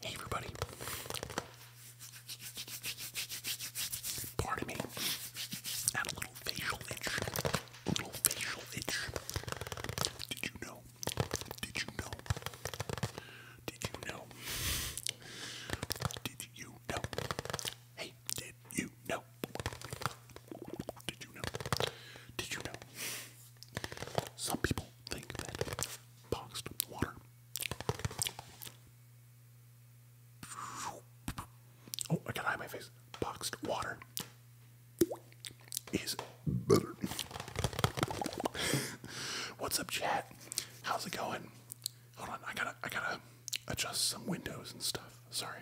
Hey everybody. Pardon me. I a little facial itch. A little facial itch. Did you know? Did you know? Did you know? Did you know? Hey, did you know? Did you know? Did you know? Some people think that boxed water. Oh, I gotta hide my face. Boxed water is better. What's up, chat? How's it going? Hold on, I gotta, I gotta adjust some windows and stuff. Sorry.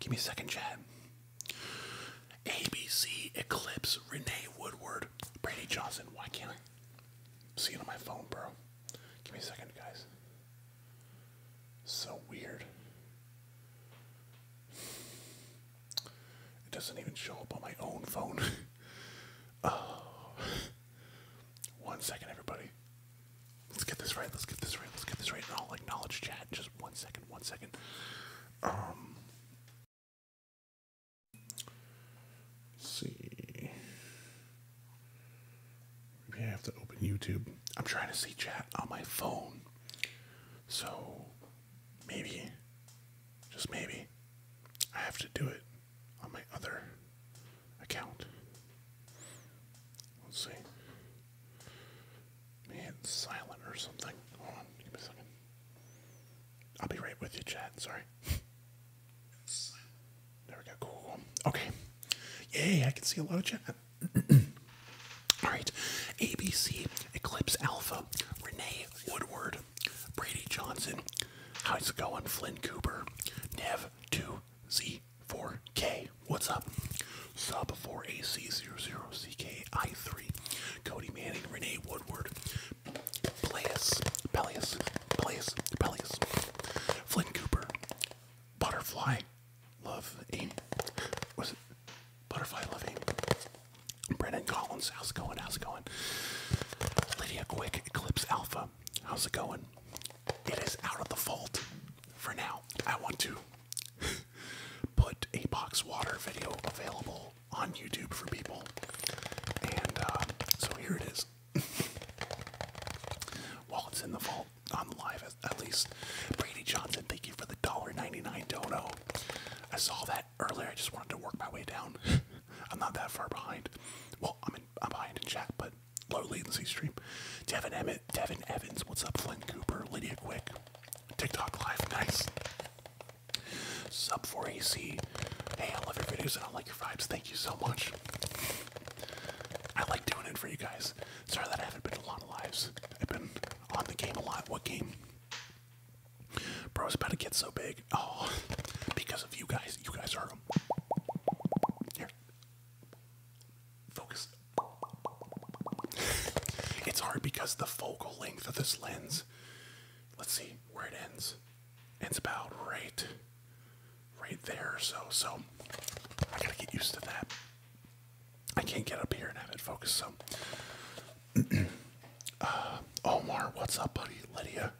Give me a second, Chad. ABC Eclipse, Renee Woodward, Brady Johnson. Why can't I see it on my phone, bro? Give me a second, guys. So weird. It doesn't even show up on my own phone. oh. One second, everybody. Let's get this right. Let's get this right. Let's get this right. And I'll acknowledge chat in just one second. One second. Um. Let's see. Maybe I have to open YouTube. I'm trying to see chat on my phone. So maybe, just maybe, I have to do it on my other account. Let's see. Maybe silent or something. Hold on, give me a second. I'll be right with you, Chad. Sorry. There we go. cool. Okay. Yay, I can see a lot of chat. Alright. ABC, Eclipse Alpha, Renee Woodward, Brady Johnson, how's it going? Flynn Cooper, Nev2Z, 4K. What's up? Sub 4AC00CKI3. Cody Manning, Renee Woodward, Pelias, Pelias, Pelias, Pelias, Flynn Cooper, Butterfly, Love Amy. Was it Butterfly Love Aim? Brennan Collins, how's it going? How's it going? Lydia Quick, Eclipse Alpha, how's it going? It is out of the vault for now. I want to put a box water video available on YouTube for people. And uh, so here it is. While it's in the vault, on the live at least. Brady Johnson, thank you for the dollar ninety nine. Don't know. I saw that earlier. I just wanted to work my way down. I'm not that far behind. Well, I'm, in, I'm behind in chat, but low latency stream. Devin Emmett, De Devin Evans, what's up? Flynn Cooper, Lydia Quick, TikTok Live, nice. Sub for ac hey, I love your videos and I like your vibes. Thank you so much. I like doing it for you guys. Sorry that I haven't been a lot of lives. I've been on the game a lot. What game? Bro, Bro's about to get so big. Oh, because of you guys. You guys are. Here. Focus. It's hard because the focal length of this lens, let's see where it ends. It's about right right there so. So I gotta get used to that. I can't get up here and have it focus, so uh, Omar, what's up, buddy? Lydia.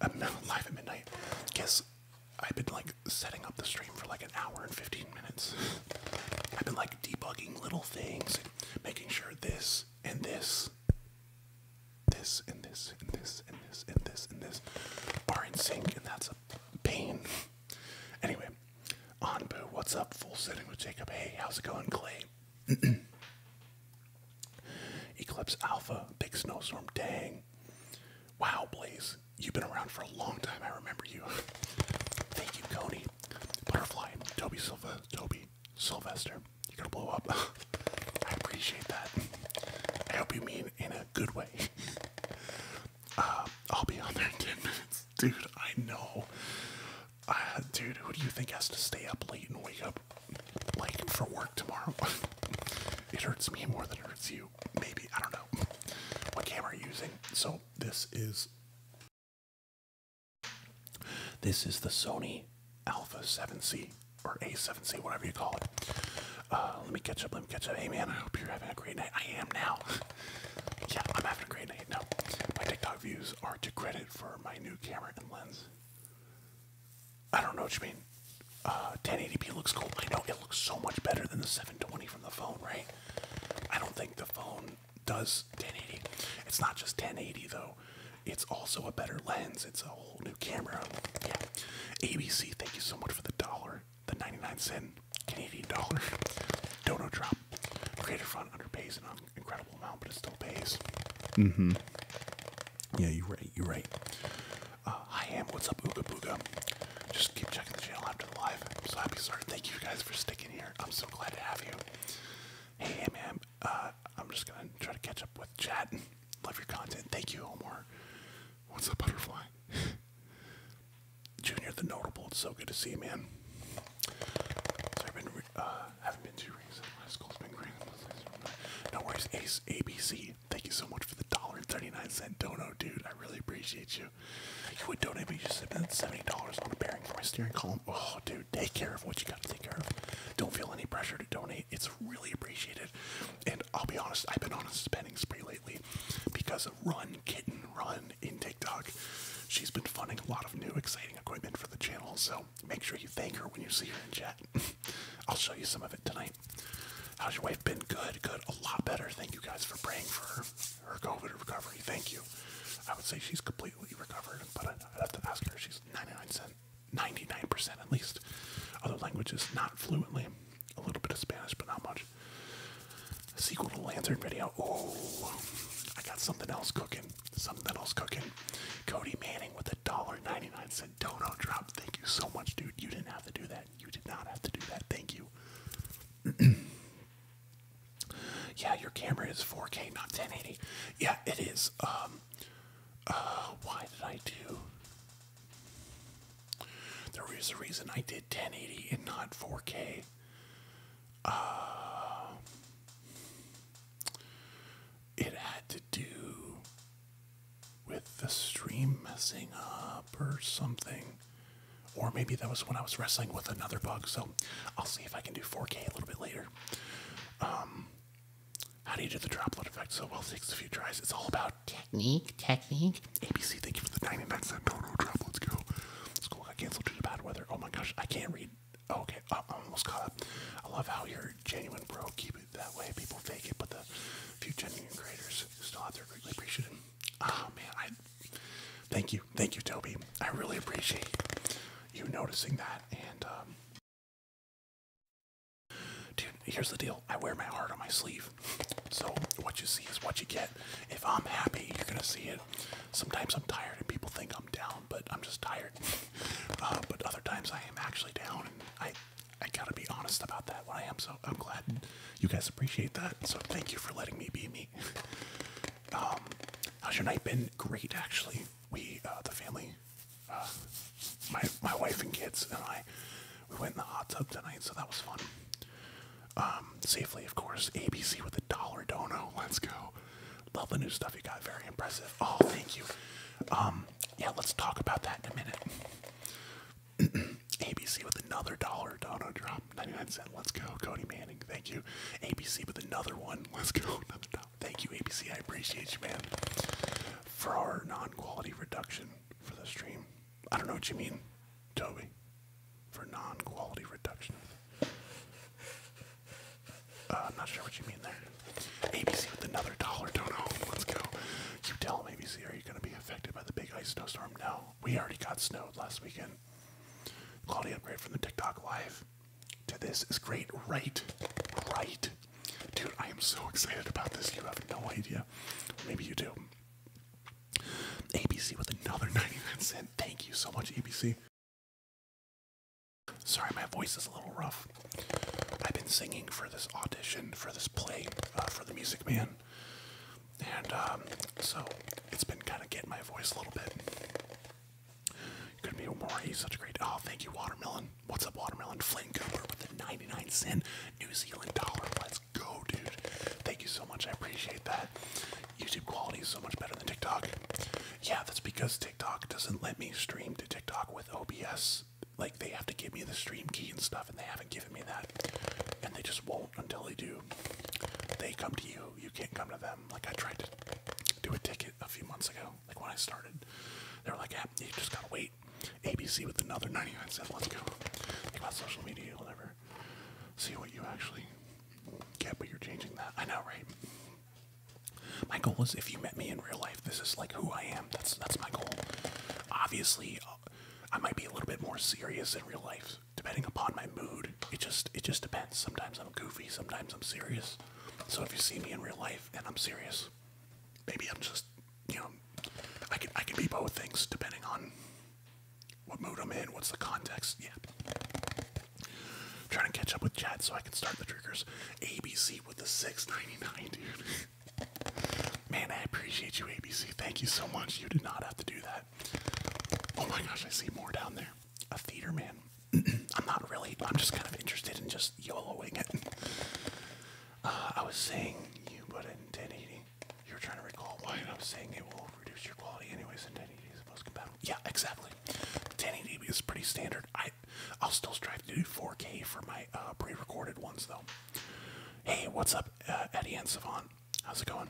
I'm live at midnight. Guess I've been like setting up the stream for like an hour and 15 15 minutes. I've been like debugging little things, making sure this and this, this and this and this and this and this and this are in sync, and that's a pain. Anyway, Anbu, what's up? Full sitting with Jacob. Hey, how's it going, Clay? Eclipse Alpha, big snowstorm, dang. Wow, Blaze, you've been around for a long time. I remember you. Thank you, Cody. Butterfly, Toby Silva, Toby Sylvester. You're gonna blow up. I appreciate that. I hope you mean in a good way. Uh, I'll be on there in 10 minutes. Dude, I know. Uh, dude, who do you think has to stay up late and wake up late for work tomorrow? it hurts me more than it hurts you. Maybe, I don't know. What camera are you using? So this is this is the Sony Alpha 7C or A7C, whatever you call it. Uh, let me catch up. Let me catch up. Hey man, I hope you're having a great night. I am now. yeah, I'm having a great night. No, my TikTok views are to credit for my new camera and lens. I don't know what you mean. 1080p uh, looks cool. I know it looks so much better than the 720 from the phone, right? I don't think the phone does 1080. It's not just 1080 though. It's also a better lens. It's a whole new camera. Yeah. ABC, thank you so much for the dollar, the 99 cent Canadian dollar. Dono drop. Creator Front underpays an incredible amount, but it still pays. Mm-hmm. Yeah, you're right. You're right. Uh, I am. What's up, Ooga Booga? Just keep checking the channel after the live. I'm so happy you started. Thank you guys for sticking here. I'm so glad to have you. Hey, man, uh, I'm just gonna try to catch up with chat. Love your content. Thank you, Omar. What's up, Butterfly? Junior the Notable, it's so good to see you, man. I've been, uh, haven't been too recent. My school's been great. No worries, Ace ABC. Thank you so much for the dollar and 39 cent dono, dude. I really appreciate you. You would donate, but you just spent $70 on a bearing for my steering column. Oh, dude, take care of what you got to take care of. Don't feel any pressure to donate. It's really appreciated. And I'll be honest, I've been on a spending spree lately because of Run Kitten Run in TikTok. She's been funding a lot of new exciting equipment for the channel, so make sure you thank her when you see her in chat. I'll show you some of it tonight. How's your wife been? Good, good. A lot better. Thank you guys for praying for her her COVID recovery. Thank you. I would say she's completely recovered, but i have to ask her. She's 99%, 99% at least. Other languages, not fluently. A little bit of Spanish, but not much. sequel to Lantern video. Oh, I got something else cooking. Something else cooking. Cody Manning with a dollar 99 cent dono drop. Thank you so much, dude. You didn't have to do that. You did not have to do that. Thank you. Yeah, your camera is 4K, not 1080. Yeah, it is. Um, uh, why did I do? There is a reason I did 1080 and not 4K. Uh, it had to do with the stream messing up or something. Or maybe that was when I was wrestling with another bug. So I'll see if I can do 4K a little bit later. Um, how do you do the droplet effect? So well, takes a few tries. It's all about technique, technique. ABC, thank you for the 99 cent dono drop. Let's go. School got canceled due to bad weather. Oh my gosh, I can't read. Oh, okay, uh, I almost caught up. I love how you're genuine, bro. Keep it that way. People fake it, but the few genuine creators still out there greatly appreciate Oh man, thank you, thank you, Toby. I really appreciate you noticing that. And um, dude, here's the deal: I wear my heart on my sleeve, so what you see is what you get. If I'm happy, you're gonna see it. Sometimes I'm tired, and people think I'm down, but I'm just tired. Uh, but other times I am actually down, and I I gotta be honest about that. When I am, so I'm glad you guys appreciate that. So thank you for letting me be me. Um, how's your night been? Great, actually. We, uh, the family, uh, my my wife and kids and I, we went in the hot tub tonight, so that was fun. Um, safely, of course. ABC with a dollar dono. Let's go. Love the new stuff you got. Very impressive. Oh, thank you. Um, yeah, let's talk about that in a minute. ABC with another dollar dono drop. 99 cent. Let's go. Cody Manning. Thank you. ABC with another one. Let's go. Thank you, ABC. I appreciate you, man. For our non-quality reduction for the stream. I don't know what you mean, Toby. For non-quality reduction. Uh, I'm not sure what you mean there. ABC with another dollar. Don't know. Let's go. You tell ABC, are you going to be affected by the big ice snowstorm? No. We already got snowed last weekend. Quality upgrade from the TikTok live to this is great, right? Right. Dude, I am so excited about this. You have no idea. Maybe you do. ABC with another 99 cent. Thank you so much, ABC. Sorry, my voice is a little rough. I've been singing for this audition, for this play, uh, for The Music Man. And um, so it's been kind of getting my voice a little bit. You're Could be more. He's such a great. Oh, thank you, watermelon. What's up, watermelon? Flynn Cooper with a 99 cent New Zealand dollar. Let's go, dude. Thank you so much. I appreciate that. YouTube quality is so much better than TikTok. Yeah, that's because TikTok doesn't let me stream to TikTok with OBS. Like they have to give me the stream key and stuff, and they haven't given me that. And they just won't until they do. They come to you. You can't come to them time. Like I tried to do a ticket a few months ago, like when I started. They were like, yeah, you just gotta wait. ABC with another 99 cent, let's go. Think about social media, you'll never see what you actually get, but you're changing that. I know, right? My goal is if you met me in real life, this is like who I am. That's that's my goal. Obviously, uh, I might be a little bit more serious in real life, depending upon my mood. It just it just depends. Sometimes I'm goofy, sometimes I'm serious. So if you see me in real life and I'm serious, maybe I'm just you know I can I can be both things depending on what mood I'm in, what's the context. Yeah. I'm trying to catch up with Chad so I can start the triggers. ABC with the 699, dude. Man, I appreciate you, ABC. Thank you so much. You did not have to do that. Oh my gosh, I see more down there a theater man. I'm not really, I'm just kind of interested in just YOLOing it. Uh, I was saying you but in 1080. You were trying to recall why I was saying it will reduce your quality anyways in 1080 is the most compatible. Yeah, exactly. 1080 is pretty standard. I, I'll still strive to do 4K for my uh, pre-recorded ones though. Hey, what's up, uh, Eddie and Savant? How's it going?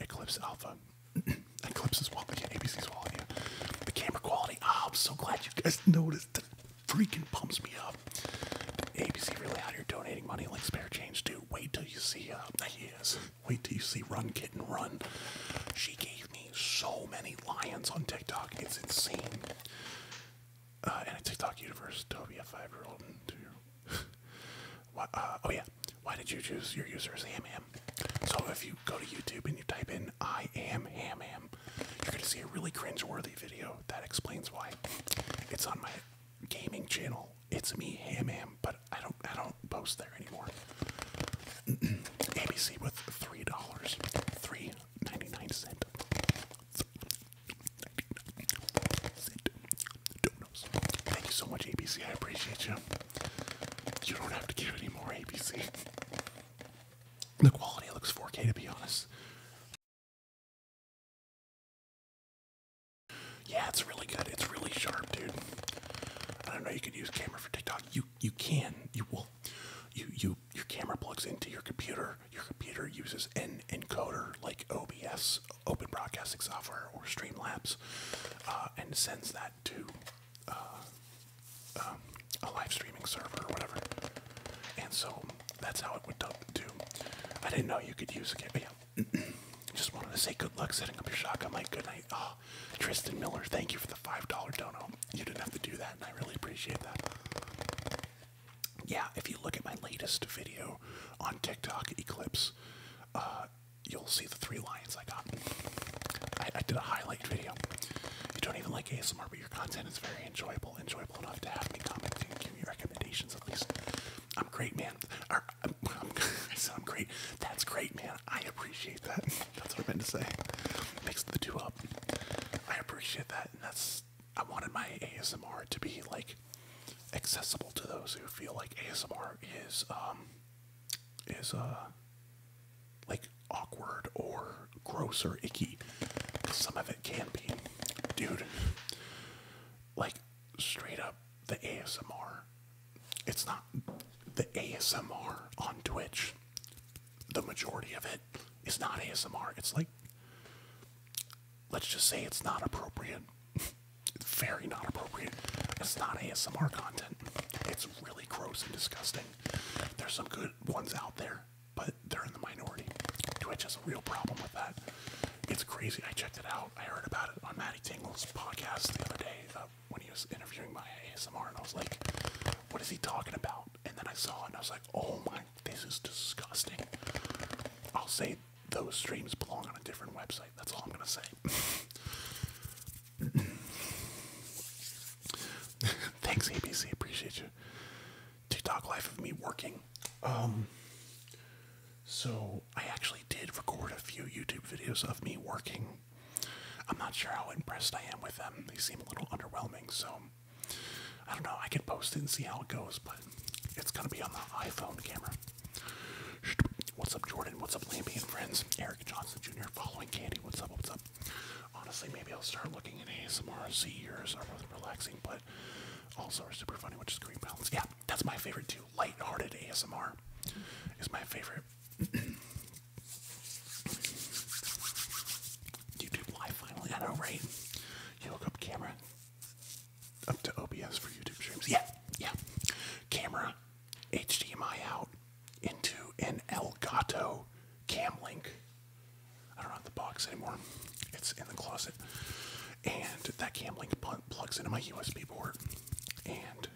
Eclipse Alpha. Eclipse is wallet, yeah, ABC's wall. yeah. The camera quality, oh, I'm so glad you guys noticed. That freaking pumps me up. ABC really out here donating money like spare change, dude. Wait till you see, uh, he is. Wait till you see Run Kitten Run. She gave me so many lions on TikTok, it's insane. Uh, in a TikTok universe, Don't be a five year old. Uh, oh yeah, why did you choose your user as ham ham? So if you go to YouTube and you type in I am ham ham, you're gonna see a really cringe-worthy video that explains why. It's on my gaming channel. It's me ham ham, but I don't I don't post there anymore. ABC with three dollars, three nine cent donuts. Thank you so much, ABC. I appreciate you. You don't have to give any ABC. The quality looks 4K, to be honest. Yeah, it's really good. It's really sharp, dude. I don't know. You can use camera for TikTok. You you can. You will. You you your camera plugs into your computer. Your computer uses an encoder like OBS. Open Broadcasting Software or Streamlabs uh, and sends that to uh, um, a live streaming server or whatever. And so that's how it went down too. I didn't know you could use a camera. Just wanted to say good luck setting up your shotgun. Like, good night. Oh, Tristan Miller, thank you for the $5 dono. You didn't have to do that, and I really appreciate that. Yeah, if you look at my latest video on TikTok, Eclipse, uh, you'll see the three lions I got. I, I did a highlight video. you don't even like ASMR, but your content is very enjoyable, enjoyable enough to have me comment and give me recommendations at least. I'm great, man. Or, I'm, I'm great. That's great, man. I appreciate that. That's what I meant to say. Mixed the two up. I appreciate that, and that's. I wanted my ASMR to be like accessible to those who feel like ASMR is um, is uh, like awkward or gross or icky. Some of it can be, dude. Like straight up the ASMR. It's not the ASMR on Twitch. The majority of it is not ASMR. It's like let's just say it's not appropriate. very not appropriate. It's not ASMR content. It's really gross and disgusting. There's some good ones out there, but they're in the minority. Twitch has a real problem with that. It's crazy. I checked it out. I heard about it on Matty Tingle's podcast the other day uh, when he was interviewing my ASMR, and I was like, what is he talking about? And then I saw it, and I was like, oh my, this is disgusting. I'll say those streams belong on a different website. That's all I'm going to say. Thanks, ABC. Appreciate you. TikTok life of me working. Um, so I actually did record a few YouTube videos of me working. I'm not sure how impressed I am with them. They seem a little underwhelming, so I don't know. I could post it and see how it goes, but it's gonna be on the iPhone camera. What's up, Jordan? What's up, Lambie and friends? Eric Johnson Jr. following Candy. What's up? What's up? Honestly, maybe I'll start looking at ASMR. Z years are both relaxing, but also are super funny, which is green balance. Yeah, that's my favorite too. Lighthearted ASMR is my favorite. YouTube live finally. I know, right? You look up camera up to OBS for YouTube streams. Yeah, yeah. Camera, HDMI out into an Elgato Cam Link. I don't have the box anymore. It's in the closet. And that Cam Link pl plugs into my USB port, and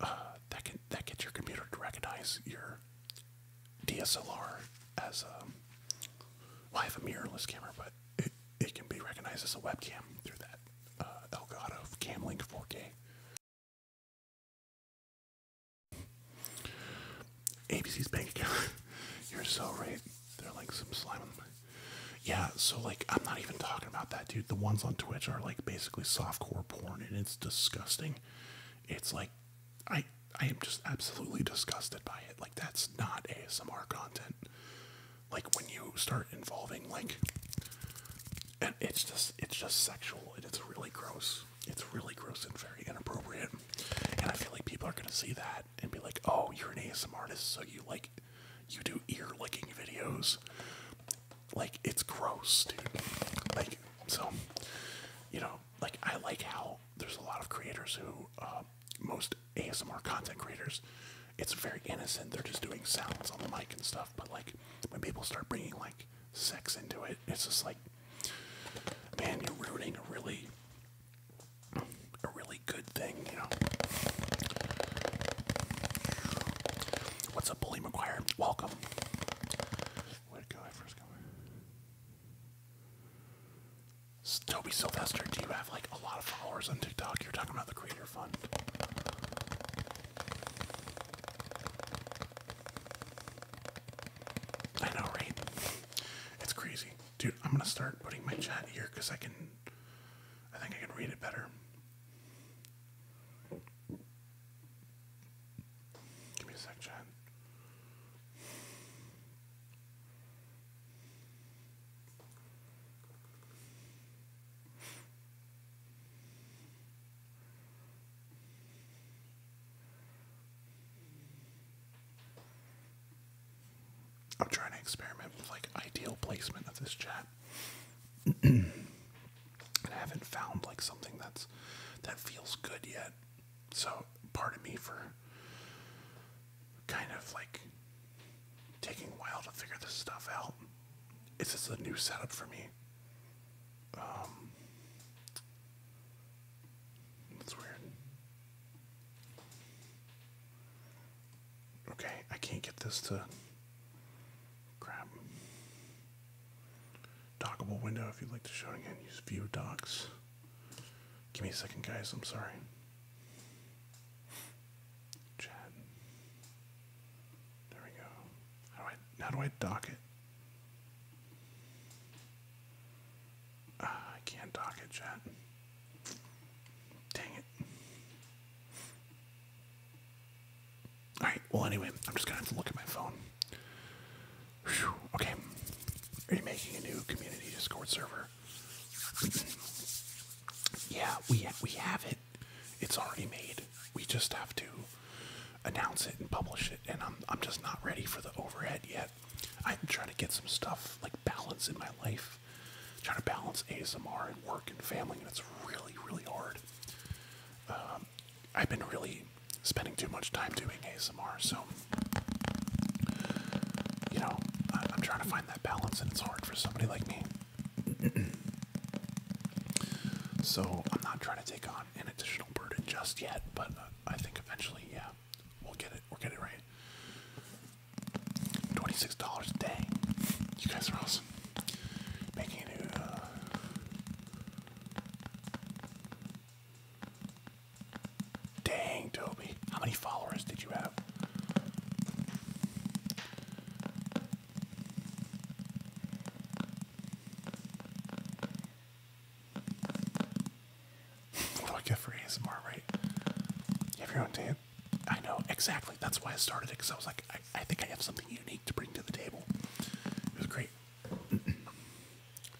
uh, that can that gets your computer to recognize your DSLR as a. Um, I have a mirrorless camera, but it can be recognized as a webcam through that uh, Cam Link 4K. ABC's bank account. You're so right. They're like some slime on the Yeah, so like I'm not even talking about that, dude. The ones on Twitch are like basically softcore porn and it's disgusting. It's like I I am just absolutely disgusted by it. Like that's not ASMR content like when you start involving like and it's just it's just sexual and it's really gross it's really gross and very inappropriate and i feel like people are going to see that and be like oh you're an ASMR artist so you like you do ear licking videos like it's gross dude like so you know like i like how there's a lot of creators who uh, most asmr content creators it's very innocent. They're just doing sounds on the mic and stuff. But like when people start bringing like sex into it, it's just like, man, you're ruining a really, a really good thing, you know. What's up, Bully McGuire? Welcome. Where'd it go? I first go. Toby Sylvester, do you have like a lot of followers on TikTok? You're talking about the creator. I know, right? It's crazy. Dude, I'm gonna start putting my chat here because I can I think I can read it better. Give me a sec, chat. I'm trying to experiment with like ideal placement of this chat. and I haven't found like something that's that feels good yet. So part of me for kind of like taking a while to figure this stuff out. It's just a new setup for me. Um, that's weird. Okay, I can't get this to grab. Dockable window if you'd like to show it again. Use view docs. Give me a second, guys. I'm sorry. Chat. There we go. How do I, how do I dock it? Ah, I can't dock it, chat. Dang it. Alright, well, anyway, I'm just gonna have to look at my phone. okay. Are you making a new community Discord server? yeah, we, we have it. It's already made. We just have to announce it and publish it. And I'm I'm just not ready for the overhead yet. I'm trying to get some stuff like balance in my life. Trying to balance ASMR and work and family, and it's really really hard. Um, I've been really spending too much time doing ASMR, so you know I'm trying to find that balance, and it's hard for somebody like me. So I'm not trying to take on an additional burden just yet, but uh, I think eventually, yeah, we'll get it. We'll get it right. Twenty-six dollars a day. You guys are awesome. Making it. Uh, dang, Toby. How many followers did you have? what do I get right? You have your own tape? I know, exactly. That's why I started it, because I was like, I, I think I have something unique to bring to the table. It was great. I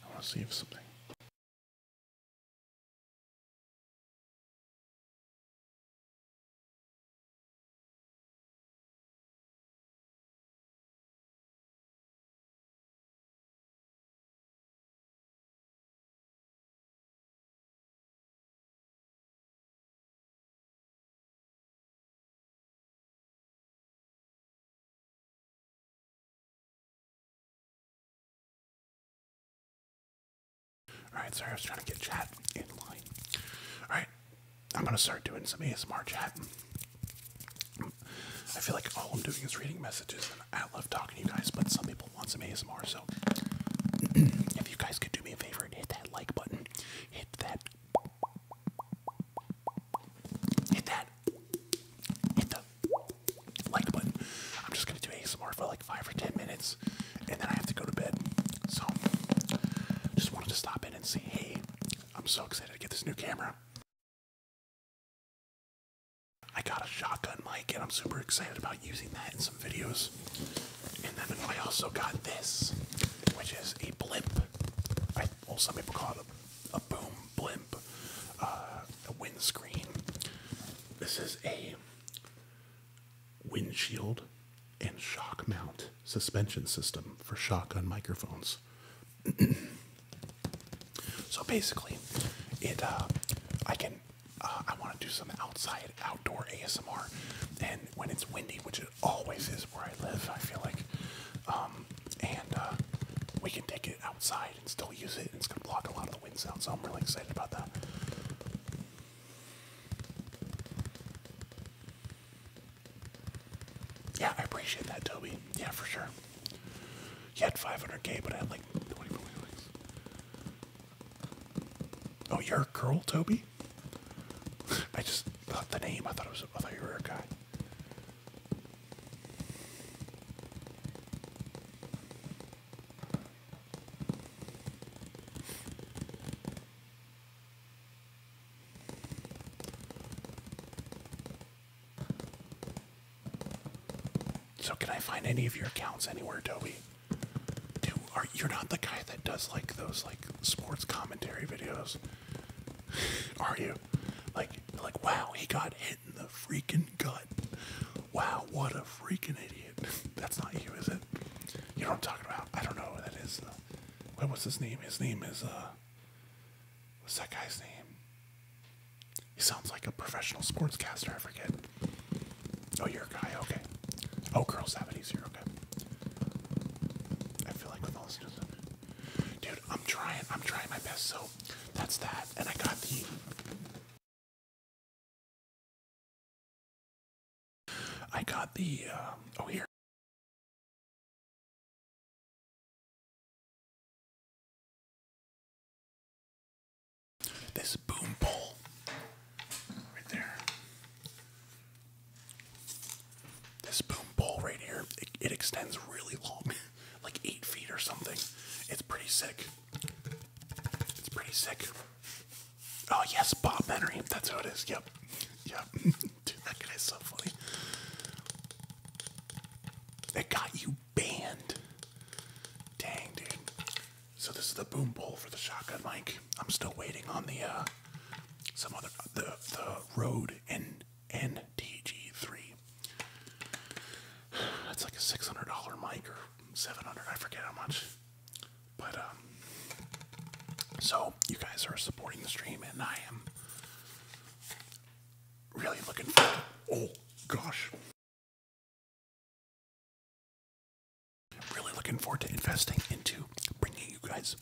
want to see if something. All right, sorry, I was trying to get chat in line. All right, I'm gonna start doing some ASMR chat. I feel like all I'm doing is reading messages, and I love talking to you guys. But some people want some ASMR, so if you guys could do me a favor hit that like button, hit that, hit that, hit the like button. I'm just gonna do ASMR for like five or ten minutes and then I have to go to bed. So, just wanted to stop in and say, hey, I'm so excited to get this new camera. I got a shotgun mic, and I'm super excited about using that in some videos. And then I also got this, which is a blimp. well, some people call it a, boom blimp, uh, a windscreen. This is a windshield, and shock mount suspension system for shotgun microphones. so basically, it uh, I can uh, I want to do some outside outdoor ASMR, and when it's windy, which it always is where I live, I feel like, um, and uh, we can take it outside and still use it, it's gonna block a lot of the wind sound. So I'm really excited about that. Yeah, I appreciate that, Toby. Yeah, for sure. You had 500k, but I had like 24 k Oh, you're a girl, Toby? I just thought the name. I thought it was. I thought you were a guy. So can I find any of your accounts anywhere, Toby? Dude, are you're not the guy that does like those like sports commentary videos, are you? Like, like wow, he got hit in the freaking gut. Wow, what a freaking idiot. That's not you, is it? You know what I'm talking about? I don't know who that is. Though. What was his name? His name is uh. What's that guy's name? He sounds like a professional sportscaster. I forget. Oh, you're a guy. Okay. Oh, girls have it easier. Okay. I feel like I'm with all this, dude. I'm trying. I'm trying my best. So that's that. And I got the. I got the uh, oh here. This boom pole right there. This boom pole right here, it, extends really long, like eight feet or something. It's pretty sick. It's pretty sick. Oh yes, Bob Henry. That's how it is. Yep. Yep. that guy's so funny. It got you banned. Dang, dude. So this is the boom bowl for the shotgun mic. I'm still waiting on the uh some other the the Rode N three. That's like a six hundred dollar mic or seven hundred. I forget how much. But um, so you guys are supporting the stream, and I am really looking forward. Oh gosh, really looking forward to investing into bringing you guys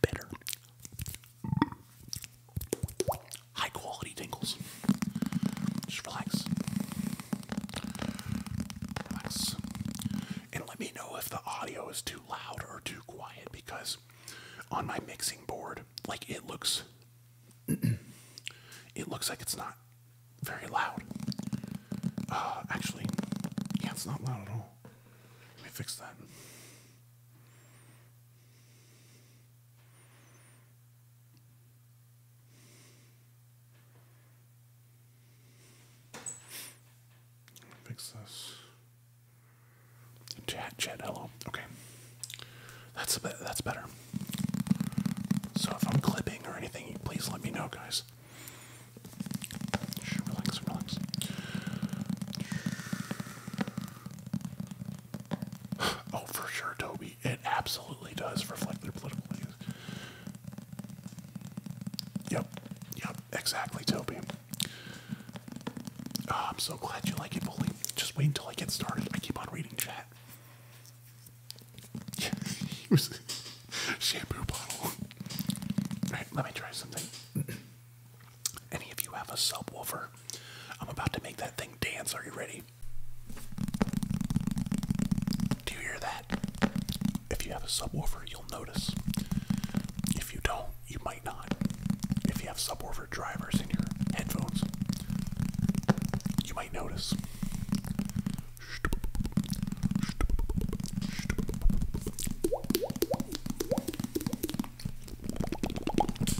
better, high quality tingles. Just relax, relax and let me know if the audio is too loud or too quiet because on my mixing board like it looks it looks like it's not very loud uh, actually yeah it's not loud at all let me fix that Fix this. Chat, chat, hello. Okay, that's a bit, that's better. So if I'm clipping or anything, please let me know, guys. Oh, for sure, Toby. It absolutely does reflect their political views. Yep, yep, exactly, Toby. Oh, I'm so glad you like it, Bully. Just wait until I get started. I keep on reading chat. Yeah, it shampoo bottle. Alright, let me try something. Any of you have a subwoofer? I'm about to make that thing dance. Are you ready? Do you hear that? If you have a subwoofer, you'll notice. If you don't, you might not. If you have subwoofer drivers in your headphones, you might notice.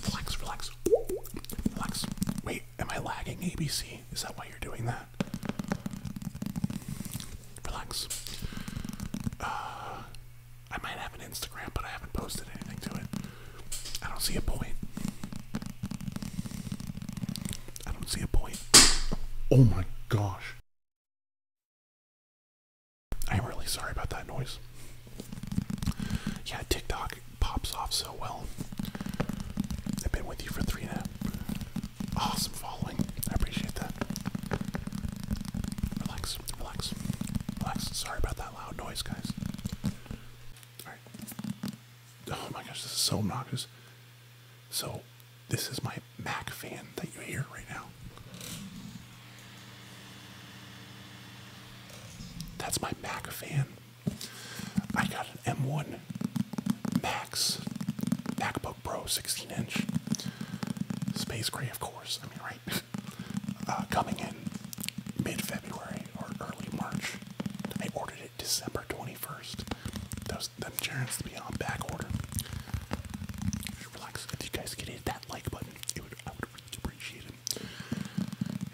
Relax, relax, relax. Wait, am I lagging ABC? Is that why you're doing that? Relax. Uh, I might have an Instagram, but I haven't posted anything to it. I don't see a point. I don't see a point. Oh my gosh. I'm really sorry about that noise. Yeah, TikTok pops off so well. I've been with you for three now. Awesome following. I appreciate that. Relax, relax, relax. Sorry about that loud noise, guys. Alright. Oh my gosh, this is so noxious. So, this is my Mac fan that you hear right now. That's my Mac fan. I got an M1 Max MacBook Pro 16 inch. Space gray, of course. I mean, right? Uh, coming in mid-February or early March. I ordered it December 21st. Those them germs to be on back order. Relax. If you guys could hit that like button, it would I would really appreciate it.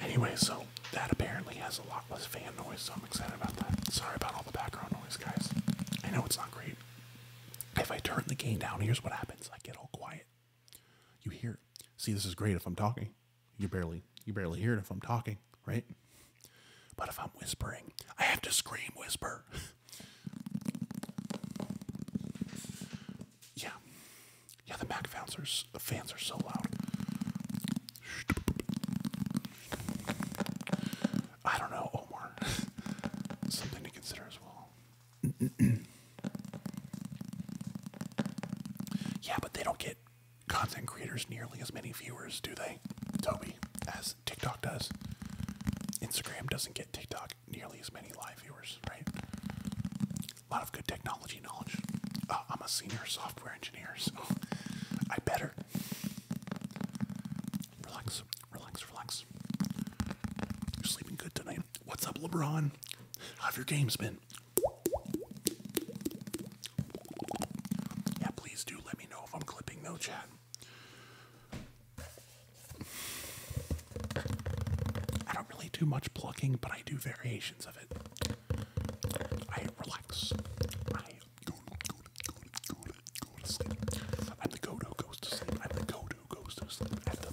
Anyway, so that apparently has a lot less fan noise, so I'm excited about that. Sorry about all the background noise, guys. I know it's not great. If I turn the gain down, here's what happens. I get all quiet. You hear it. See, this is great if I'm talking. You barely you barely hear it if I'm talking, right? But if I'm whispering, I have to scream whisper. yeah. Yeah, the Mac fans are, fans are so loud. I don't know, Omar. Something to consider as well. yeah, but they don't get content creators nearly as many viewers, do they, Toby, as TikTok does? Instagram doesn't get TikTok nearly as many live viewers, right? A lot of good technology knowledge. Uh, I'm a senior software engineer, so I better. Relax. Relax, relax. You're sleeping good tonight. What's up, LeBron? How have your games been? Yeah, please do let me know if I'm clipping, though, chat. I don't really do much plucking, but I do variations of it. I relax. I go, go, go, go, go to sleep. to sleep. I'm the goat who goes to sleep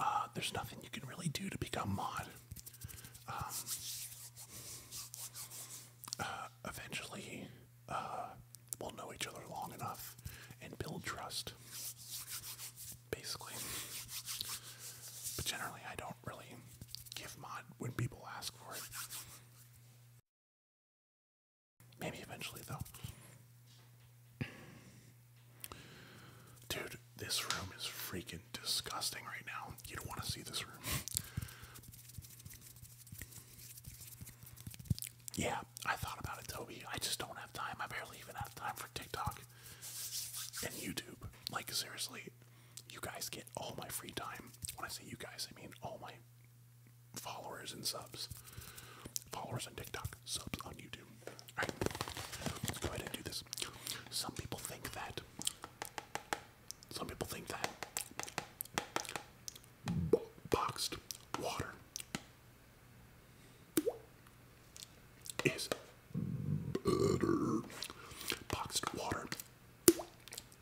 Uh, there's nothing you can really do to become mod. Um, uh, eventually, uh, we'll know each other long enough and build trust, basically. But generally, I don't really give mod when people ask for it. Maybe eventually, though. Dude, this room is freaking disgusting right now. You don't want to see this room. yeah, I thought about it, Toby. I just don't have time. I barely even have time for TikTok and YouTube. Like, seriously, you guys get all my free time. When I say you guys, I mean all my followers and subs. Followers on TikTok, subs on YouTube. Alright, let's go ahead and do this. Some people think that. Some people think that. Bo boxed water is better. Boxed water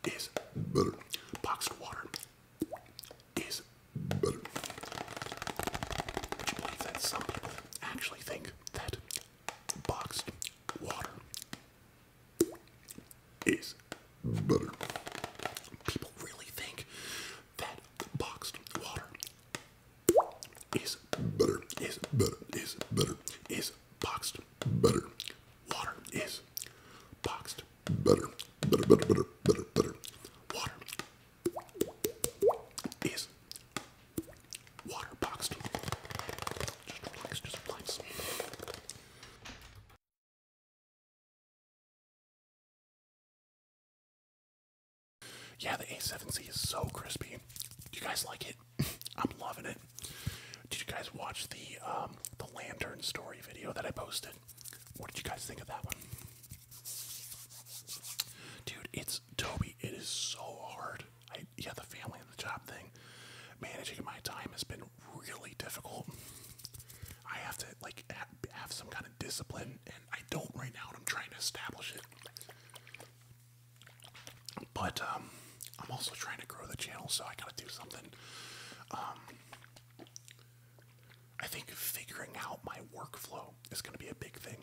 is better. Boxed water is better. Would you believe that some people actually think that boxed water is better? People really think that boxed water is better, is better, is better, is boxed better. Water is boxed better, better, better, better, better, better. Water yeah, the A7C is so crispy. Do you guys like it? I'm loving it. Did you guys watch the um, the lantern story video that I posted? What did you guys think of that one? Dude, it's Toby. It is so hard. I, yeah, the family and the job thing. Managing my time has been really difficult. I have to like have some kind of discipline, and I don't right now. And I'm trying to establish it. But um, I'm also trying to grow the channel, so I gotta do something. Um, I think figuring out my workflow is going to be a big thing.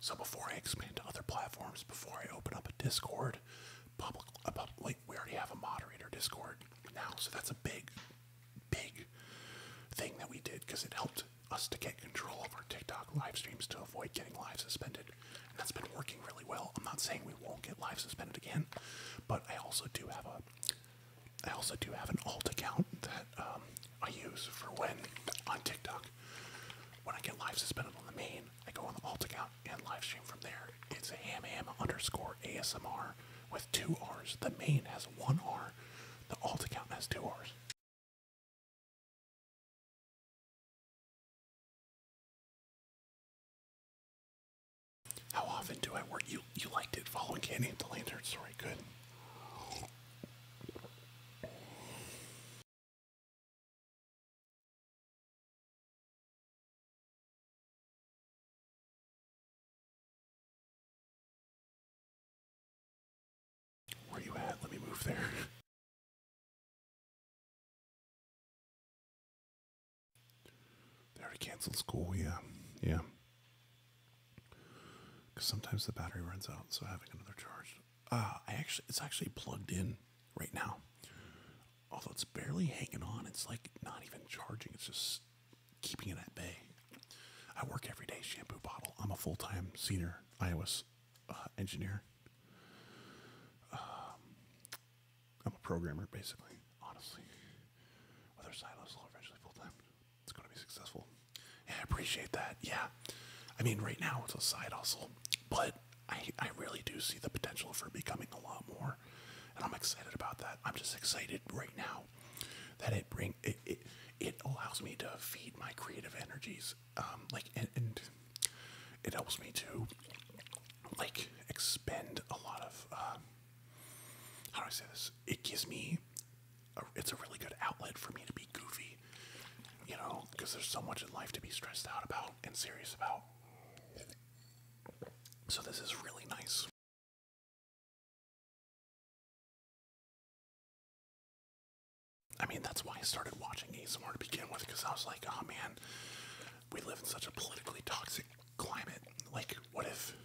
So before I expand to other platforms, before I open up a Discord, public, a public like we already have a moderator Discord now, so that's a big, big thing that we did because it helped us to get control of our TikTok live streams to avoid getting live suspended, and that's been working really well. I'm not saying we won't get live suspended again, but I also do have a I also do have an alt account that um, I use for when on TikTok. When I get live suspended on the main, I go on the alt account and live stream from there. It's ham ham underscore ASMR with two R's. The main has one R, the alt account has two R's. How often do I work? You you liked it, following Candy the Lantern story. Good. Where you at? Let me move there. They are canceled school, yeah. Yeah because sometimes the battery runs out, so having another charge. Uh, I actually, it's actually plugged in right now, although it's barely hanging on. It's like not even charging. It's just keeping it at bay. I work every day shampoo bottle. I'm a full time senior iOS uh, engineer. Um, I'm a programmer, basically. Honestly, whether silos will eventually full time, it's going to be successful. I appreciate that. Yeah. I mean, right now it's a side hustle, but I, I really do see the potential for becoming a lot more. And I'm excited about that. I'm just excited right now that it bring it it, it allows me to feed my creative energies. Um, like and, it helps me to like expend a lot of um, how do I say this? It gives me it's a really good outlet for me to be goofy, you know, because there's so much in life to be stressed out about and serious about. So this is really nice. I mean, that's why I started watching ASMR to begin with, because I was like, oh man, we live in such a politically toxic climate. Like, what if,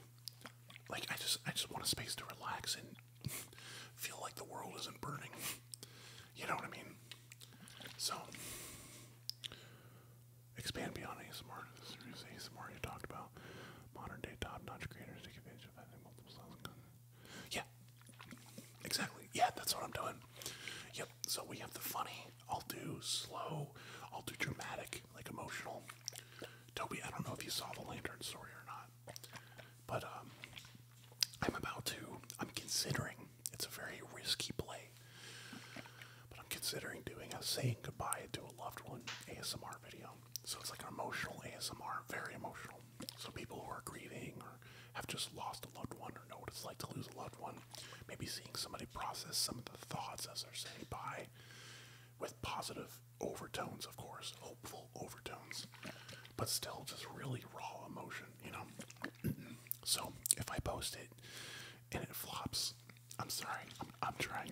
like, I just, I just want a space to relax and feel like the world isn't burning. You know what I mean? So, expand beyond ASMR. There's ASMR you talked about. Modern day top notch creators take advantage of having multiple styles of Yeah, exactly. Yeah, that's what I'm doing. Yep, so we have the funny. I'll do slow. I'll do dramatic, like emotional. Toby, I don't know if you saw the lantern story or not. But um, I'm about to, I'm considering, it's a very risky play, but I'm considering doing a saying goodbye to a loved one ASMR video. So it's like an emotional ASMR, very emotional. So people who are grieving or have just lost a loved one or know what it's like to lose a loved one, maybe seeing somebody process some of the thoughts as they're saying bye with positive overtones, of course, hopeful overtones, but still just really raw emotion, you know? so if I post it and it flops, I'm sorry, I'm, trying.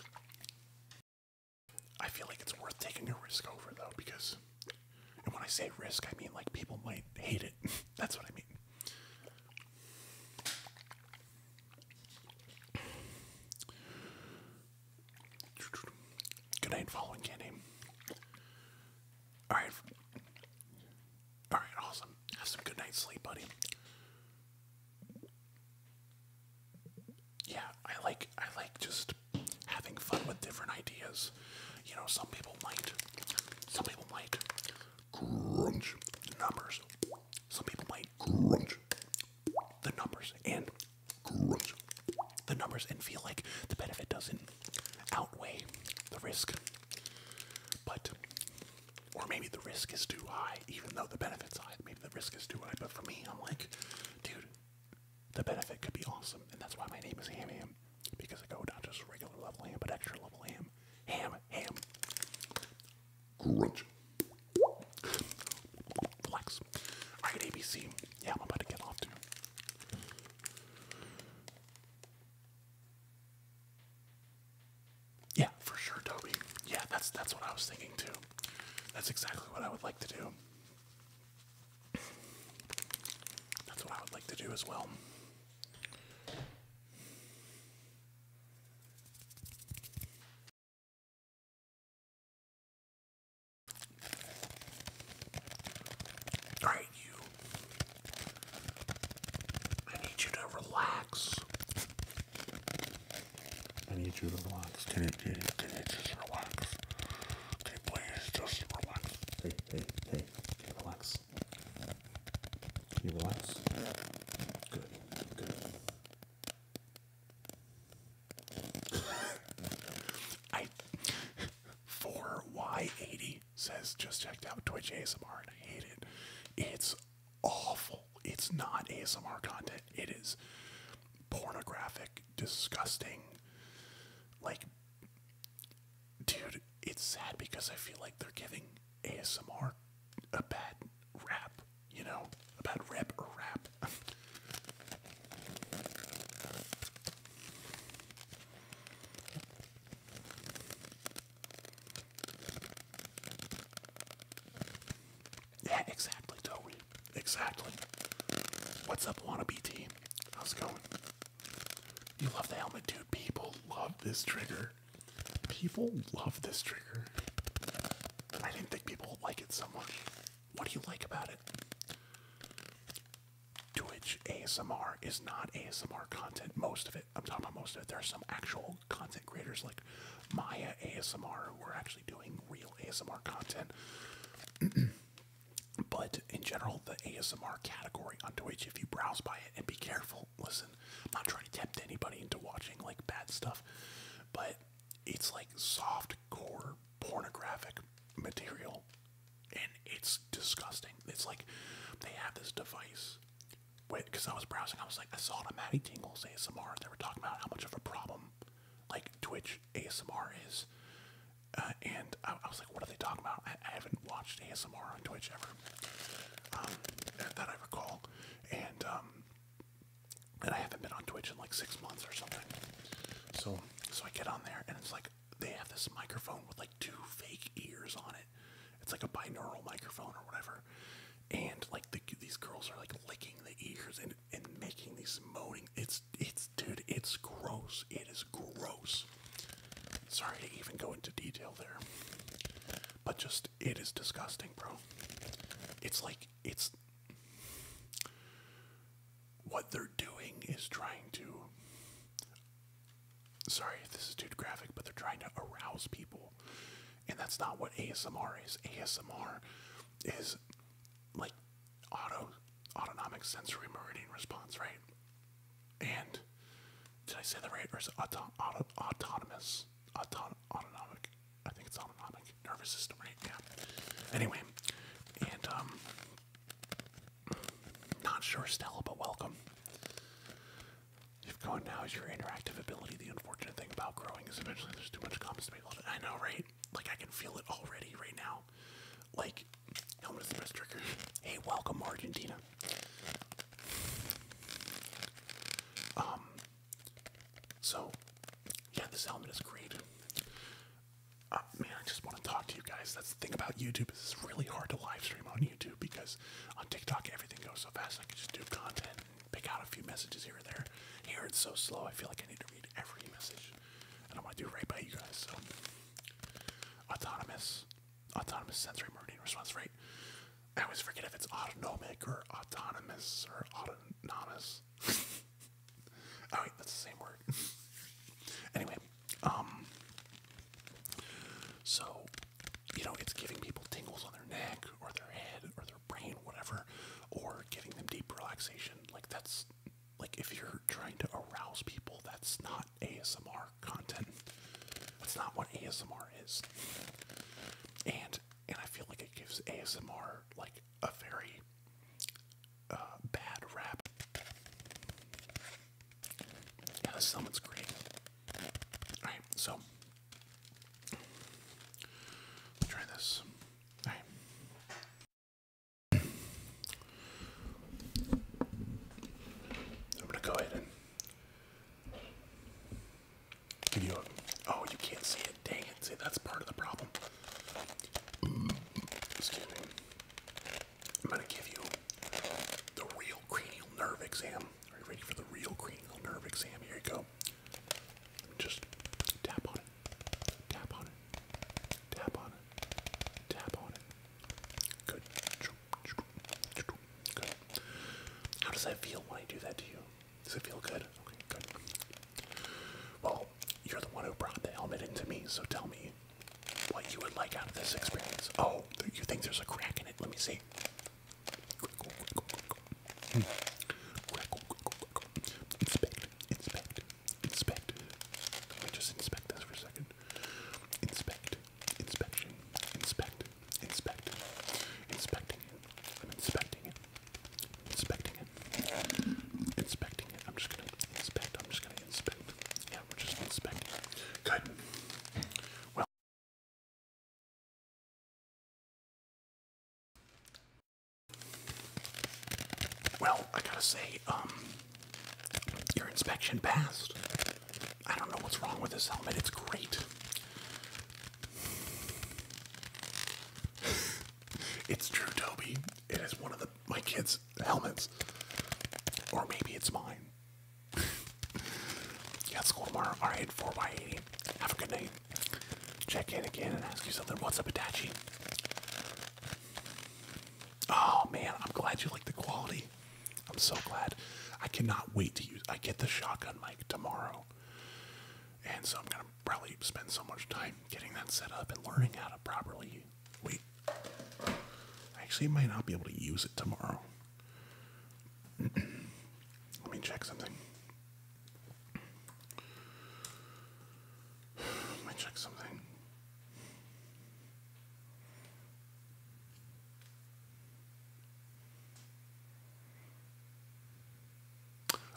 I feel like it's worth taking a risk over though, because, and when I say risk, I mean like people might hate it. That's what I mean. Good night, following candy. Alright. Alright, awesome. Have some good night sleep, buddy. Yeah, I like I like just having fun with different ideas. You know, some people might some people might crunch the numbers. Some people might crunch the numbers and the numbers and feel like the benefit doesn't outweigh the risk. But, or maybe the risk is too high, even though the benefit's high. Maybe the risk is too high, but for me, I'm like, dude, the benefit could be awesome. And that's why my name is Ham Ham, because I go not just regular level ham, but extra level ham. Ham, ham. Crunch. Flex. Alright, ABC. Yeah, I'm about to get off too. Yeah, for sure, Toby. Yeah, that's that's what I was thinking too. That's exactly what I would like to do. That's what I would like to do as well. Alright, you. I need you to relax. I need you to relax. Can you, can you, can you just relax? Can you just relax? Hey, hey, hey. Can you relax? you relax? Good, good. I 4Y80 says just checked out Twitch ASMR and I hate it. It's awful. It's not ASMR content. It is pornographic, disgusting. Like dude, it's sad because I feel like they're giving ASMR a bad rap, you know? about rep rap. yeah, exactly, Toby. Exactly. What's up, wannabe team? How's it going? You love the helmet, dude. People love this trigger. People love this trigger. I didn't think people would like it so much. What do you like about it? Twitch ASMR is not ASMR content. Most of it, I'm talking about most of it. There are some actual content creators like Maya ASMR who are actually doing real ASMR content. but in general, the ASMR category on Twitch, if you browse by it and be careful, listen, I'm not trying to tempt anybody into watching like bad stuff, but it's like soft core pornographic material and it's disgusting. It's like they have this device because I was browsing, I was like, I saw it on Maddie Tingle's ASMR. They were talking about how much of a problem like Twitch ASMR is. Uh, and I, was like, what are they talking about? I, haven't watched ASMR on Twitch ever um, that I recall. And um, and I haven't been on Twitch in like six months or something. So so I get on there and it's like they have this microphone with like two fake ears on it. It's like a binaural microphone or whatever. And like these girls are like licking the ears and, and making these moaning. It's it's dude, it's gross. It is gross. Sorry to even go into detail there. But just it is disgusting, bro. It's like it's what they're doing is trying to. Sorry this is too graphic, but they're trying to arouse people. And that's not what ASMR is. ASMR is like auto autonomic sensory meridian response, right? And did I say the right? Or is it auto, auto, autonomous? Auto, autonomic? I think it's autonomic nervous system, right? Yeah. Anyway, and um, not sure Stella, but welcome. You've gone now is your interactive ability. The unfortunate thing about growing is eventually there's too much comments to make. I know, right? Like I can feel it already right now. Like, helmet is the best Hey, welcome Argentina. Um. So, yeah, this helmet is great. Uh, man, I just want to talk to you guys. That's the thing about YouTube it's really hard to live stream on YouTube because on TikTok everything goes so fast. I can just do content pick out a few messages here and there. Here it's so slow. I feel like I need to read every message, and I want to do it right by you guys. So autonomous, autonomous sensory meridian response rate. I always forget if it's autonomic or autonomous or autonomous oh wait, that's the same word. anyway, um, so you know it's giving people tingles on their neck or their head or their brain, whatever, or giving them deep relaxation. Like that's like if you're trying to arouse people, that's not ASMR content. That's not what ASMR is. And and I feel like it gives ASMR like a very uh, bad rap. Yeah, the summit's great. Alright, so. try this. Alright. I'm gonna go ahead and give you a. Oh, you can't see it. Dang it. See, that's part of the problem. Excuse me. I'm going to give you the real cranial nerve exam. Are you ready for the real cranial nerve exam? Here you go. Just tap on it. Tap on it. Tap on it. Tap on it. Good. How does that feel when I do that to you? Does it feel good? Okay, good. Well, you're the one who brought the helmet into me, so tell me what you would like out of this experience. Oh, you think there's a crack in it? Let me see. Crackle, crackle, crackle. Hmm. Crackle, crackle, crackle. Inspect, inspect, inspect. Let me just inspect this for a second. Inspect, inspection, inspect, inspect, inspecting it. I'm inspecting it inspecting it. Inspecting it. I'm just gonna inspect. I'm just gonna inspect. Yeah, we're just inspecting. Good. Well. Well, I gotta say, um, your inspection passed. I don't know what's wrong with this helmet. It's great. It's true, Toby. It is one of the my kids' helmets. Or maybe it's mine. yeah, school tomorrow. Alright, 4y80. Have a good night. Check in again and ask you something. What's up, Itachi? Oh man, I'm glad you like the quality. I'm so glad. I cannot wait to use I get the shotgun mic tomorrow. And so I'm gonna probably spend so much time getting that set up and learning how to properly wait. I actually might not be able to use it tomorrow. Let me check something. Let me check something.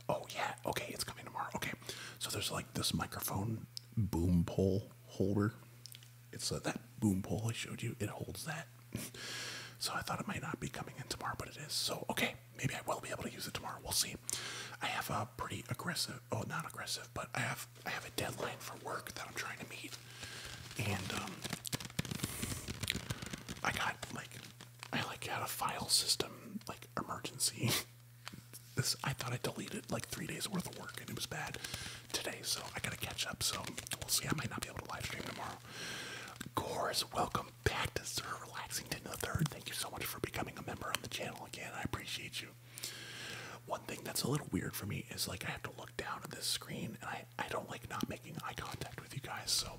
Oh yeah, okay, it's coming tomorrow. Okay. So there's like this microphone boom pole holder. It's that boom pole I showed you. It holds that. so I thought it might not be coming in tomorrow, but it is. So okay, maybe I will be able to use it tomorrow. We'll see. I have a pretty aggressive, oh, not aggressive, but I have I have a deadline for work that I'm trying to meet, and um, I got like I like had a file system like emergency this I thought I deleted like three days worth of work and it was bad today, so I gotta catch up. So we'll see. I might not be able to live stream tomorrow. Gores, welcome back to Sir Relaxing the Third. Thank you so much for becoming a member on the channel again. I appreciate you. One thing that's a little weird for me is like I have to look down at this screen and I, I don't like not making eye contact with you guys, so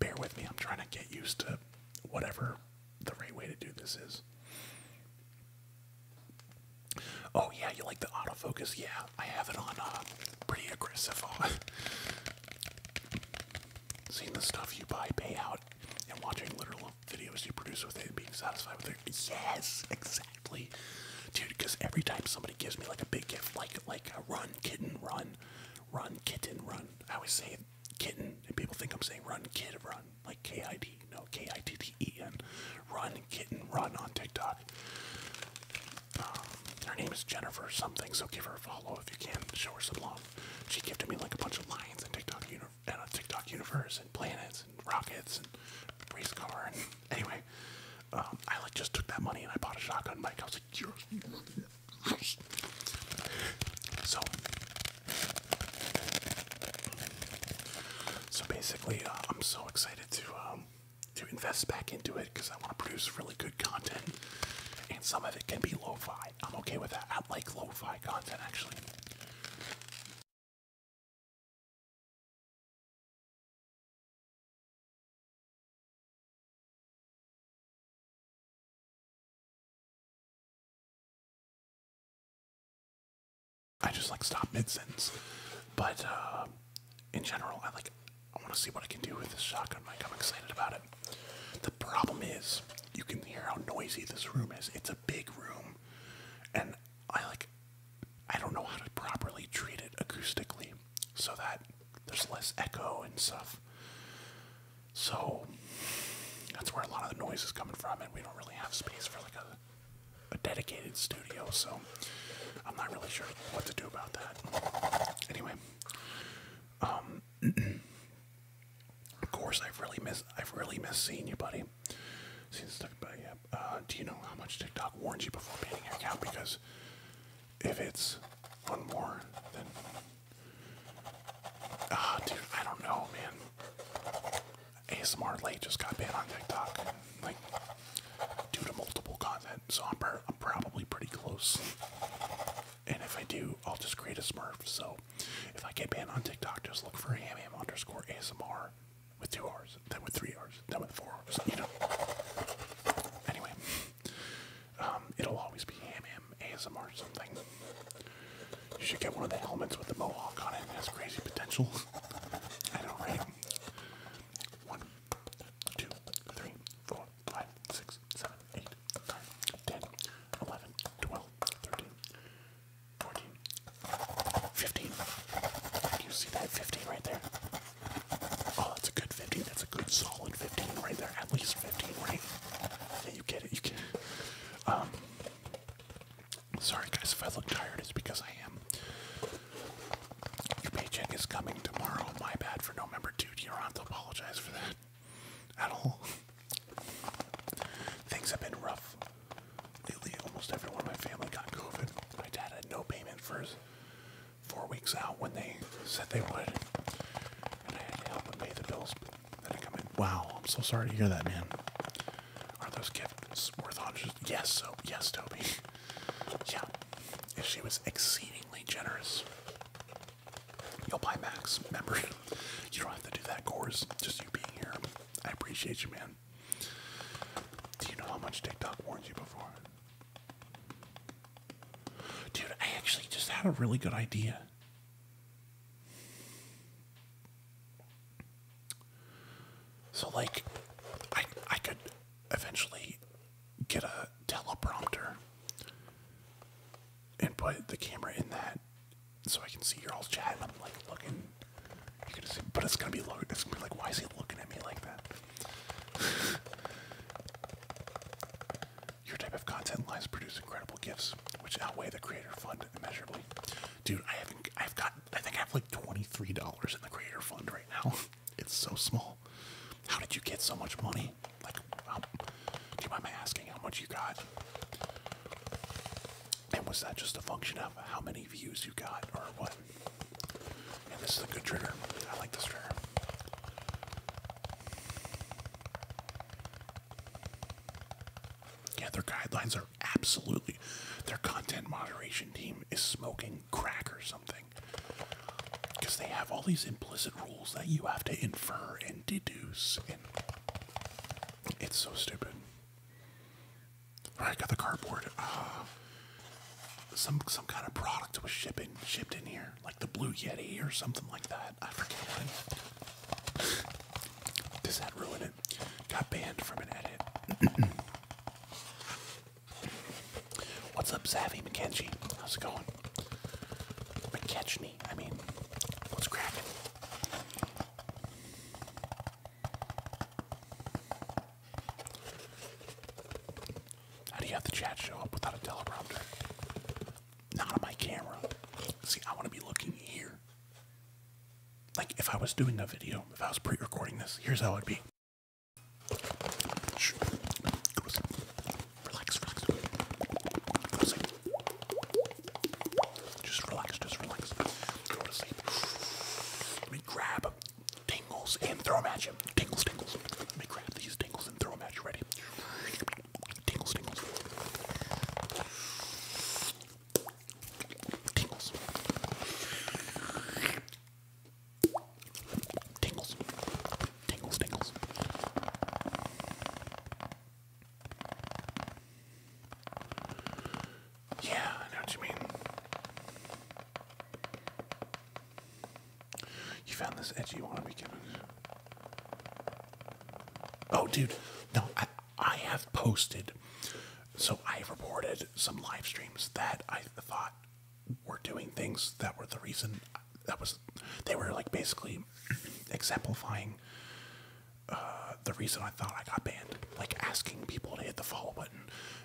bear with me. I'm trying to get used to whatever the right way to do this is. Oh yeah, you like the autofocus? Yeah, I have it on uh, pretty aggressive. On. Uh, seeing the stuff you buy pay out and watching literal videos you produce with it and being satisfied with it. Yes, exactly. Dude, because every time somebody gives me like a big gift, like like a run, kitten, run, run, kitten, run. I always say kitten, and people think I'm saying run, kitten run like K I D, no K I T T E N, Run Kitten Run on TikTok. Um, her name is Jennifer something, so give her a follow if you can. Show her some love. She gifted me like a bunch of lions and TikTok and a TikTok universe and planets and rockets and race car and anyway. Um, I like just took that money and I bought a shotgun mic. I was like, yes. so so basically, uh, I'm so excited to um, to invest back into it because I want to produce really good content, and some of it can be lo-fi. I'm okay with that. I like lo-fi content actually. I just like stop mid sentence. But uh, in general, I like. I want to see what I can do with this shotgun mic. I'm excited about it. The problem is, you can hear how noisy this room is. It's a big room, and I like. I don't know how to properly treat it acoustically, so that there's less echo and stuff. So that's where a lot of the noise is coming from, and we don't really have space for like a a dedicated studio, so I'm not really sure what to do about that. Anyway, um, of course I've really missed I've really missed seeing you, buddy. Seeing stuff, but yeah. Uh, do you know how much TikTok warned you before banning your account? Because if it's one more, then ah, dude, I don't know, man. ASMR late just got banned on TikTok, like due to multiple content. So I'm, probably pretty close. And if I do, I'll just create a Smurf. So if I get banned on TikTok, just look for ham ham underscore ASMR with two R's, then with three R's, then with four R's. You know. Anyway, um, it'll always be ham ham ASMR something. You should get one of the helmets with the mohawk on it. It has crazy potential. One, two, three, four, five, six, seven, eight, nine, ten, eleven, twelve, thirteen, fourteen, fifteen. You see that fifteen right there? Oh, that's a good fifteen. That's a good solid fifteen right there. At least fifteen, right? you get it. You get Um, Sorry, guys, if I look tired, it's because I am. Your paycheck is coming tomorrow. My bad for November 2. You are not to apologize for that at all. Things have been rough lately. Almost everyone in my family got COVID. My dad had no payment for four weeks out when they said they would. And I had to help him pay the bills that had come in. Wow, I'm so sorry to hear that, man. Are those gifts worth hundreds? Yes, so yes, Toby. yeah. she was exceedingly generous. You'll buy Max, remember? You don't have to do that course. Just you being here. I appreciate you, man. Do you know how much TikTok warned you before? Dude, I actually just had a really good idea. So like I I could eventually get a teleprompter and put the camera in that so I can see your all chat I'm like looking you can see but it's gonna be look it's gonna be like why is he looking at me like that? Your type of content lines produce incredible gifts, which outweigh the creator fund immeasurably. Dude, I haven't I've got. I think I have like $23 in the creator fund right now. It's so small. How did you get so much money? Like, um, do you asking how much you got? And was that just a function of how many views you got or what? And this is a good trigger. I like this trigger. Yeah, their guidelines are absolutely. Their content moderation team is smoking crack or something. Because they have all these implicit rules that you have to infer and deduce. And it's so stupid. Alright, got the cardboard. Uh, some some kind of product was shipping shipped in here, like the Blue Yeti or something like that. I forget what. Does that ruin it? it. Got banned from an edit. What's up, Savvy McKenzie? How's it going? McKechnie, I mean, what's cracking? How do you have the chat show up without a teleprompter? Not on my camera. See, I want to be looking here like if I was doing a video, if I was pre-recording this, here's how it'd be. Just relax, just relax. Let me grab tingles and throw them at Tingles, tingles. Let me grab these tingles and throw them at Ready? Tingles, tingles. Tingles. Tingles. Tingles, tingles. Yeah, I know what you mean. You found this edgy be gimmick. Oh, dude. No, I, I have posted, so I reported some live streams that I thought were doing things that were the reason that was, they were like basically exemplifying uh, the reason I thought I got banned. Like asking people to hit the follow button,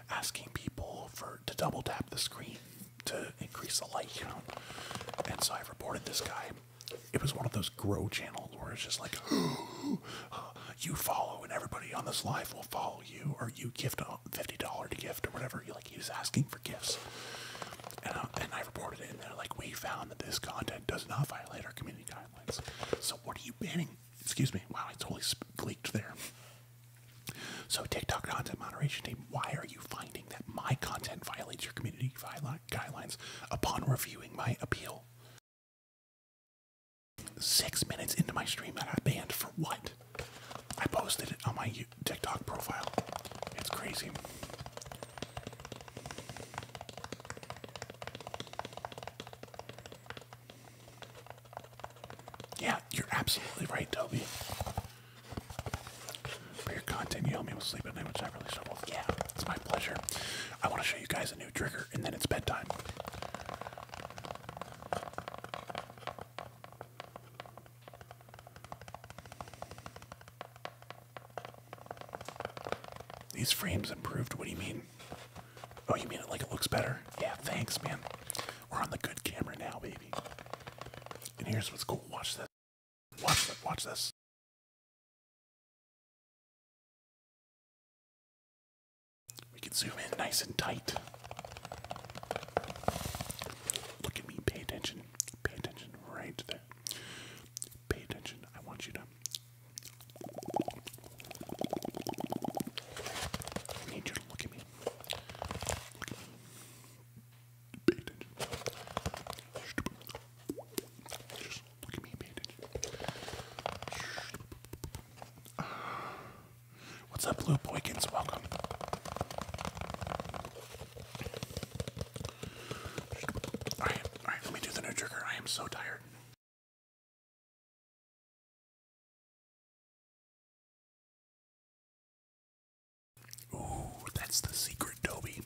asking people for to double tap the screen to increase the light count. And so I reported this guy. It was one of those grow channels where it's just like, you follow and everybody on this live will follow you or you gift a $50 to gift or whatever you like he was asking for gifts uh, and, i reported it and they're like we found that this content does not violate our community guidelines so what are you banning excuse me wow i totally leaked there so tiktok content moderation team why are you finding that my content violates your community guidelines upon reviewing my appeal six minutes into my stream that I banned for what? I posted it on my TikTok profile. It's crazy. Yeah, you're absolutely right, Toby. For your content, you help me with sleep at night, which I really struggle with. Yeah, it's my pleasure. I want to show you guys a new trigger, and then it's bedtime. These frames improved. What do you mean? Oh, you mean it like it looks better? Yeah, thanks, man. We're on the good camera now, baby. And here's what's cool. Watch this. Watch this. Watch this. We can zoom in nice and tight. Look at me, pay attention. Pay attention right there. Pay attention. I want you to. I need you to look at me. Pay attention. Just look at me pay attention. What's up, Blue Boykins? Welcome. Alright, alright, let me do the new trigger. I am so tired. Ooh, that's the secret, Dobie.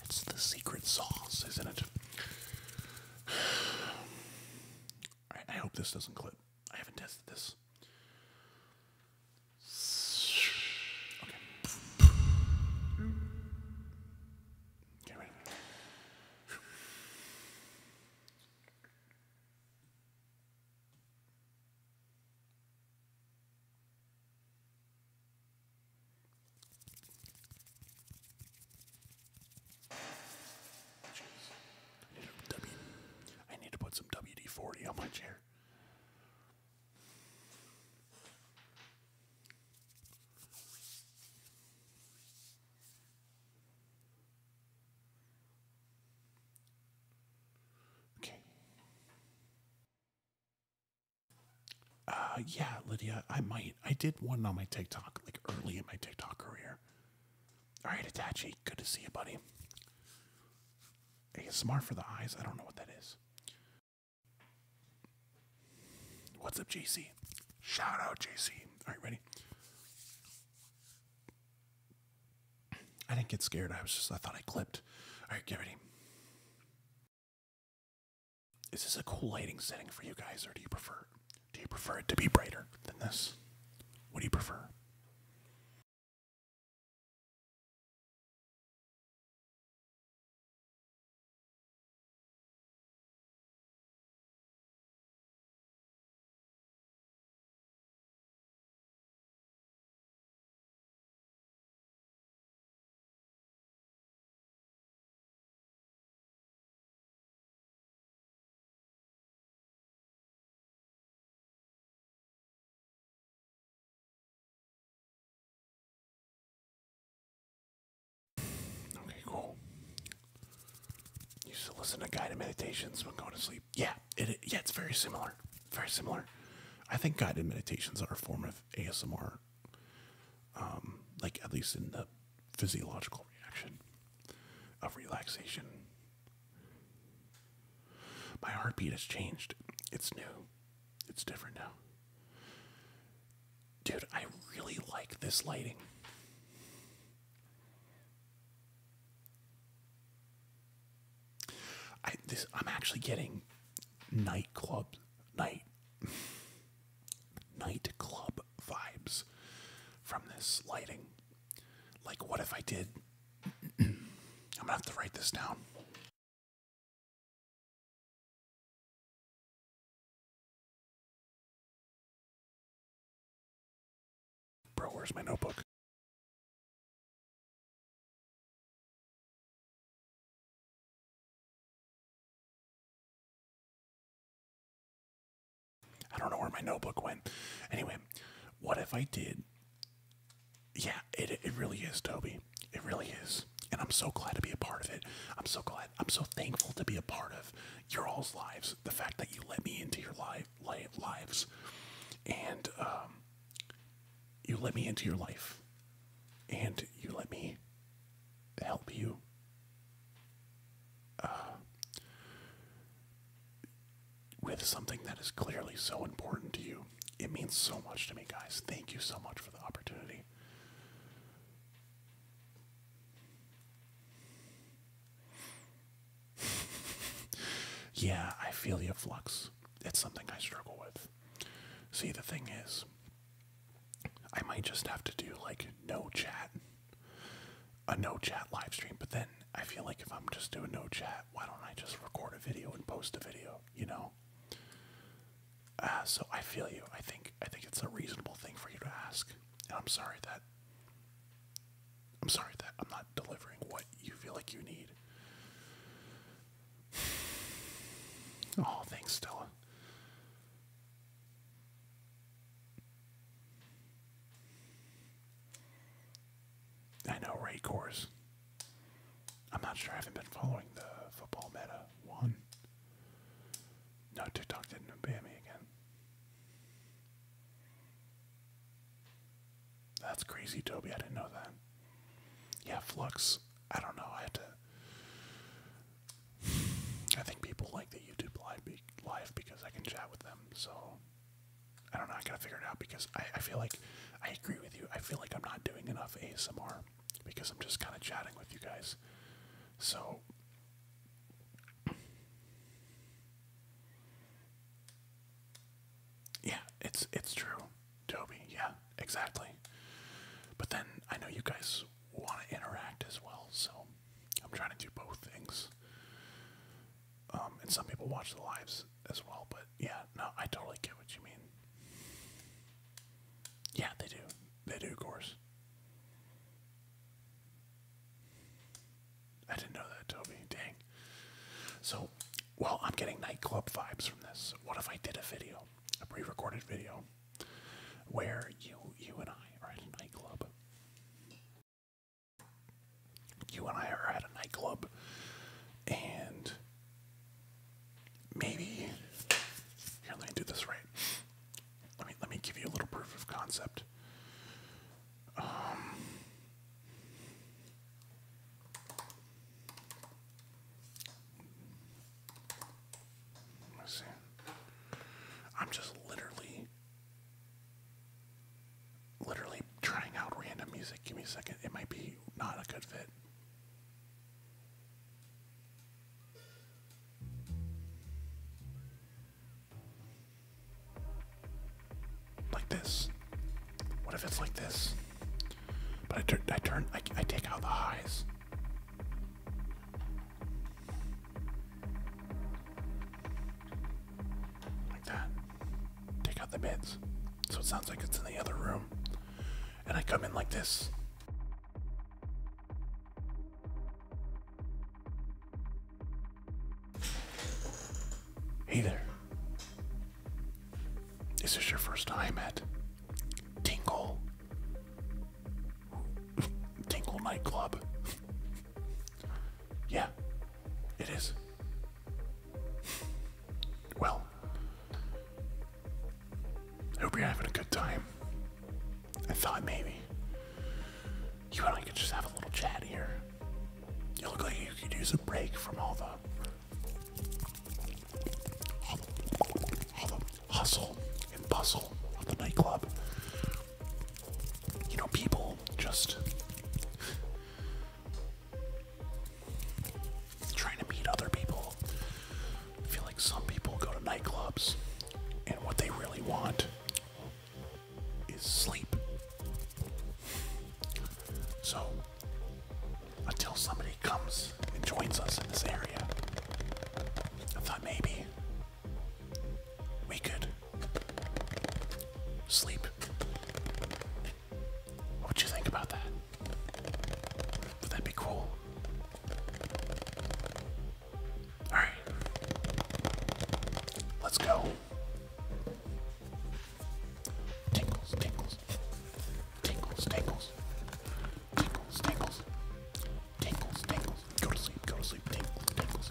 That's the secret sauce, isn't it? I hope this doesn't clip. I haven't tested this. Okay. I need, to put some WD 40 on my chair. Okay. Uh, yeah, Lydia, I might. I did one on my TikTok, like early in my TikTok career. All right, right, attaché. good to see you, buddy. Hey, smart for the eyes. I don't know what that is. What's up, JC? Shout out, JC. All right, ready? I didn't get scared. I was just, I thought I clipped. All right, get ready. Is this a cool lighting setting for you guys, or do you prefer do you prefer it to be brighter than this? What do you prefer? Okay, cool. You used listen to guided meditations when going to sleep. Yeah, yeah, it's very similar. Very similar. I think guided meditations are a form of ASMR. Um, like at least in the physiological reaction of relaxation. My heartbeat has changed. It's new. It's different now. Dude, I really like this lighting. I this I'm actually getting nightclub night nightclub vibes from this lighting like what if I did? I'm gonna have to write this down. Bro, where's my notebook? I don't know where my notebook went. Anyway, what if I did? Yeah, it, it really is, Toby. It really is. And I'm so glad to be a part of it. I'm so glad. I'm so thankful to be a part of your all's lives. The fact that you let me into your life, lives, and um, you let me into your life, and you let me help you with something that is clearly so important to you. It means so much to me, guys. Thank you so much for the opportunity. yeah, I feel your Flux. It's something I struggle with. See, the thing is, I might just have to do like no chat a no chat live stream. But then I feel like if I'm just doing no chat, why don't I just record a video and post a video? You know. Uh, so I feel you. I think I think it's a reasonable thing for you to ask, and I'm sorry that I'm sorry that I'm not delivering what you feel like you need. Oh, thanks, Stella. I know Raycores. I'm not sure. I haven't been following the football meta one. No, TikTok didn't ban me again. That's crazy, Toby. I didn't know that. Yeah, Flux. I don't know. I had to. I think people like the YouTube live because I can chat with them. So I don't know. I gotta figure it out because I, feel like I agree with you. I feel like I'm not doing enough ASMR because I'm just kind of chatting with you guys. So. Yeah, it's it's true, Toby. Yeah, exactly. But then I know you guys want to interact as well, so I'm trying to do both things. Um, and some people watch the lives as well, but yeah, no, I totally get what you mean. Yeah, they do. They do, of course. I didn't know that, Toby. Dang. So, well, I'm getting nightclub vibes from this. What if I did a video, a pre-recorded video, where you, you and I are at a nightclub, you and I are at a nightclub, and maybe here. Let me do this right. Let me let me give you a little proof of concept. Um, let's see. I'm just literally literally trying out random music. Give me a second. It might be not a good fit. Like this. What if it's like this? But I turn, I turn, I, take out the highs like that. Take out the beds. So it sounds like it's in the other room. And I come in like this. Hey there. Is this your first time at Tingle? Tingle nightclub. Yeah, it is. well, I hope you're having a good time. I thought maybe you and I could just have a little chat here. You look like you could use a break from all the, all the hustle and bustle of the nightclub you know, people just trying to meet other people. I feel like some people go to nightclubs and what they really want is sleep. So, until somebody comes and joins us in this area, I thought maybe we could Sleep. What would you think about that? Would that be cool? Alright. Let's go. Tinkles, tinkles. Tinkles, tinkles. Tinkles, tinkles. Go to sleep, go to sleep. Tinkles, tinkles.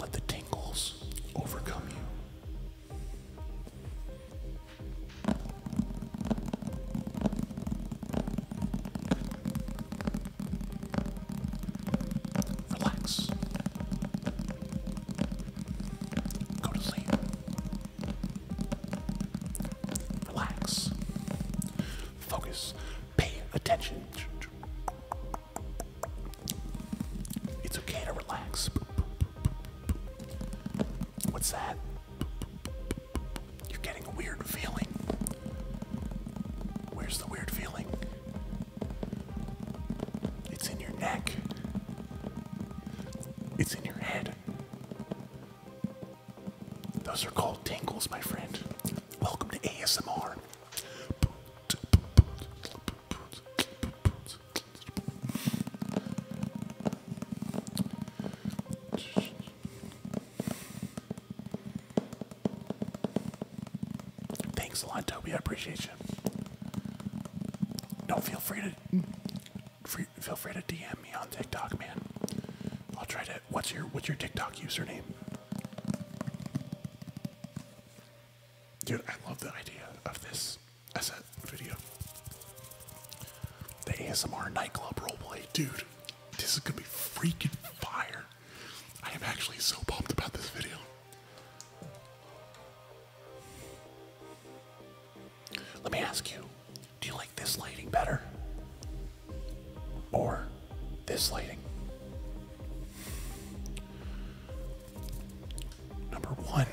Let the tingles overcome you. Relax. Go to sleep. Relax. Focus. Pay attention. It's okay to relax. What's that? You're getting a weird feeling. Where's the weird feeling? It's in your neck. It's in your head. Those are called tingles, my friend. Welcome to ASMR. Thanks a lot, Toby. I appreciate you. Don't feel free to feel free to DM me on TikTok, man. I'll try to. What's your What's your TikTok username? Dude, I love the idea of this as a video. The ASMR nightclub roleplay. Dude, this is gonna be freaking fire. I am actually so pumped about this video. Let me ask you, do you like this lighting better? Or this lighting. Number one.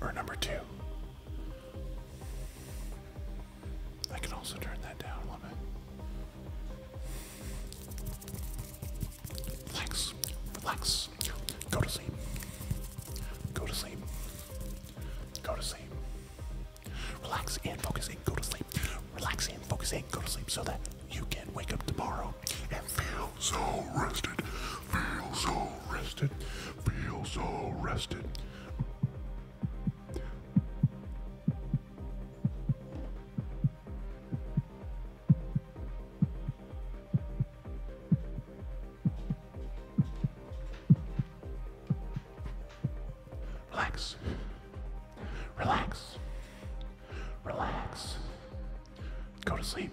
Or number two. I can also turn that down a little bit. Relax, relax. Go to sleep. Go to sleep. Go to sleep. Relax and focus in. go to sleep. Relax and focus in. go to sleep so that you can wake up tomorrow and feel so rested. Feel so rested. Feel so rested. Relax. Relax. Relax. Go to sleep.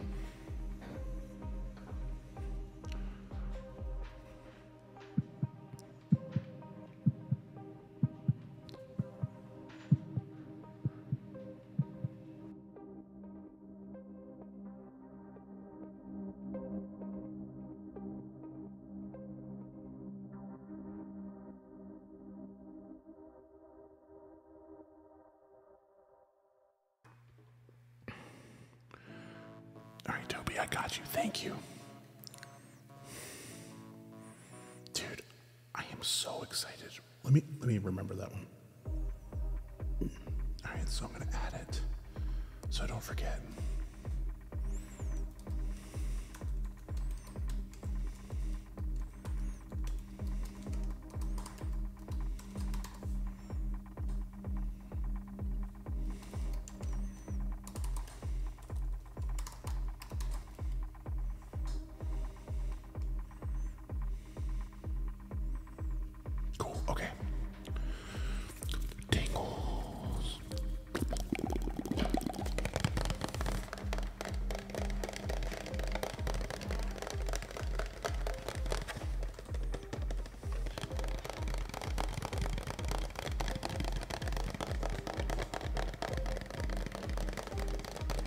All right, Toby, I got you. Thank you. Dude, I am so excited. Let me let me remember that one. All right, so I'm going to add it. So don't forget. Cool, okay. Tingles.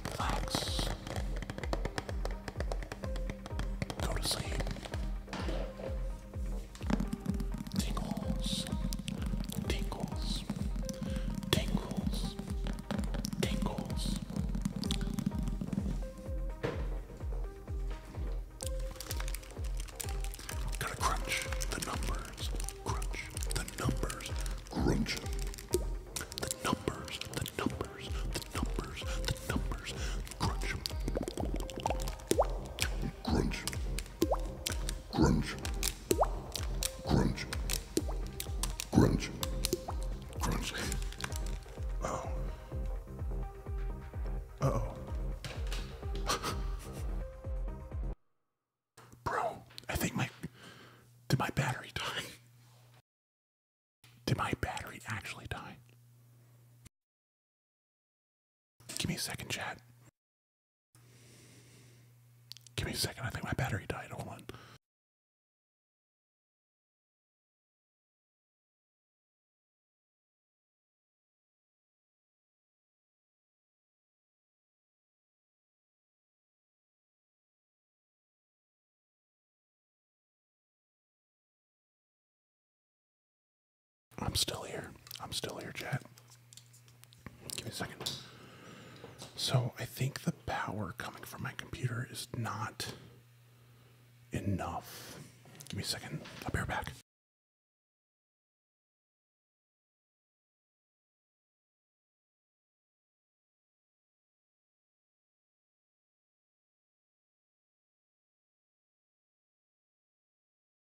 Relax. Go to sleep tingles, tingles, tingles, tingles. Gotta crunch the numbers, crunch the numbers, crunch the numbers, the numbers, the numbers, the numbers, crunch, crunch, Crunch. Crunch. Crunch. Crunch. Oh. oh. Bro, I think my. Did my battery die? Did my battery actually die? Give me a second, Chad. Give me a second. I think my battery died. Hold on. I'm still here. I'm still here, chat. Give me a second. So I think the power coming from my computer is not enough. Give me a second. I'll be right back.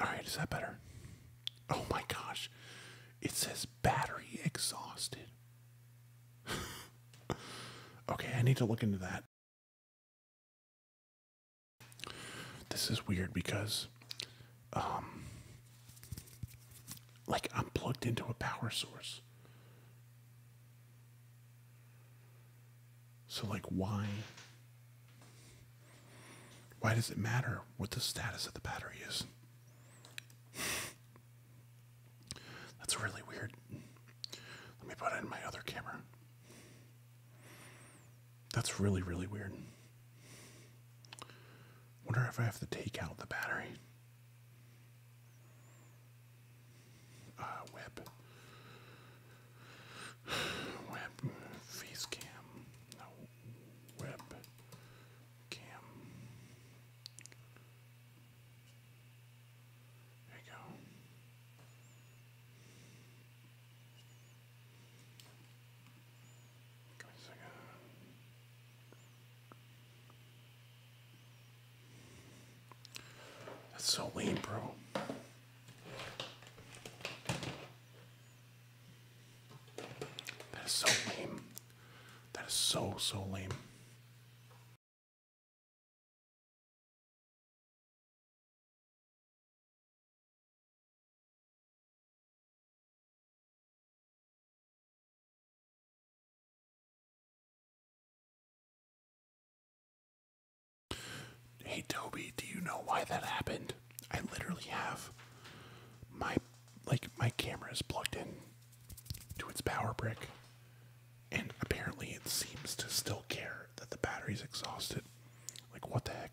All right, is that better? Oh my gosh. It says battery exhausted. okay, I need to look into that. This is weird because um, like I'm plugged into a power source. So like why why does it matter what the status of the battery is? That's really weird. Let me put it in my other camera. That's really really weird. Wonder if I have to take out the battery. Ah, web. Web face cam. web cam. There you go. That's so lame, bro. That is so lame. That is so, so lame. Hey Toby, do you know why that happened? I literally have my like my camera is plugged in to its power brick and apparently it seems to still care that the battery's exhausted. Like what the heck?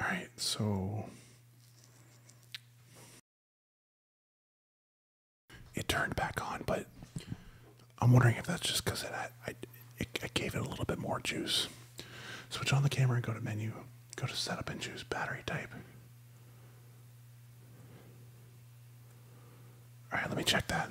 All right, so it turned back on, but I'm wondering if that's just because it, I, I gave it a little bit more juice. Switch on the camera and go to menu. Go to setup and choose battery type. All right, let me check that.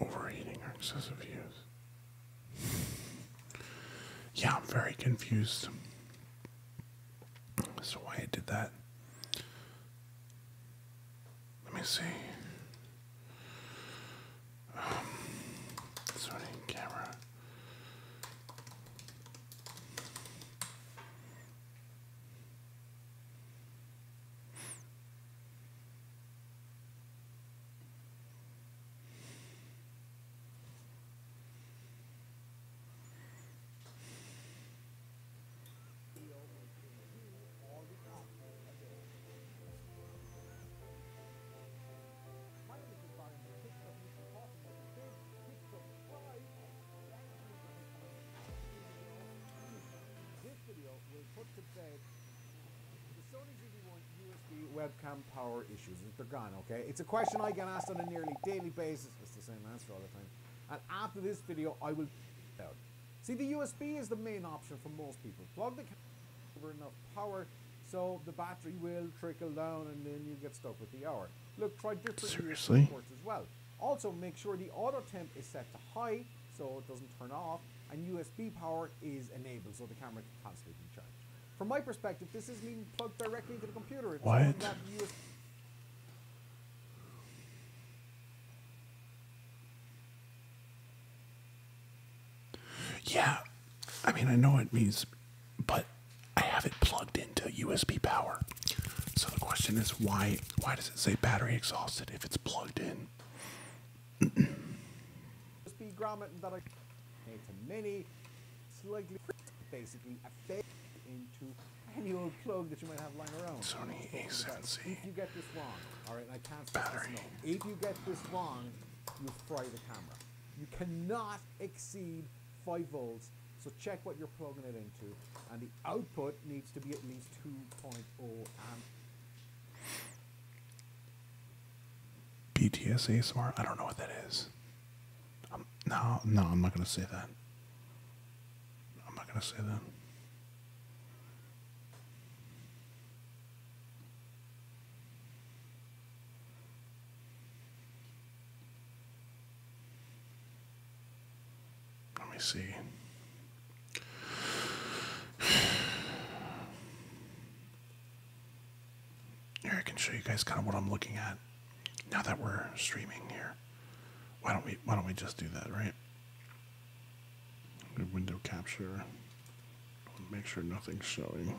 Overeating or excessive use. Yeah, I'm very confused. So why it did that? Let me see. Um, camera the Sony ZV-1 USB webcam power issues. They're gone, okay? It's a question I get asked on a nearly daily basis. It's the same answer all the time. And after this video, I will See, the USB is the main option for most people. Plug the over enough power so the battery will trickle down and then you get stuck with the hour. Look, try different ports as well. Also, make sure the auto temp is set to high so it doesn't turn off and USB power is enabled so the camera can constantly be charged. From my perspective, this is being plugged directly into the computer. It's what? Yeah, I mean, I know it means, but I have it plugged into USB power. So the question is, why why does it say battery exhausted if it's plugged in? USB grommet that I made to many, slightly basically a into any old plug that you might have lying around. Sony A7C. If you get this wrong, Battery. if you get this wrong, you fry the camera. You cannot exceed 5 volts, so check what you're plugging it into. And the output needs to be at least 2.0 amp. BTS ASMR? I don't know what that is no, no, I'm not going to say that. I'm not going to say that. Let me see. Here I can show you guys kind of what I'm looking at now that we're streaming here, why don't we why don't we just do that, right? Window capture. Make sure nothing's showing.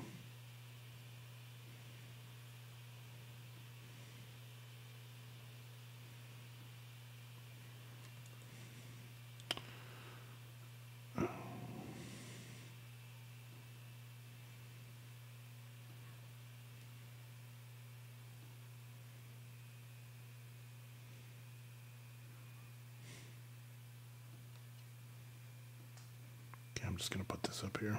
Okay, I'm just going to put this up here.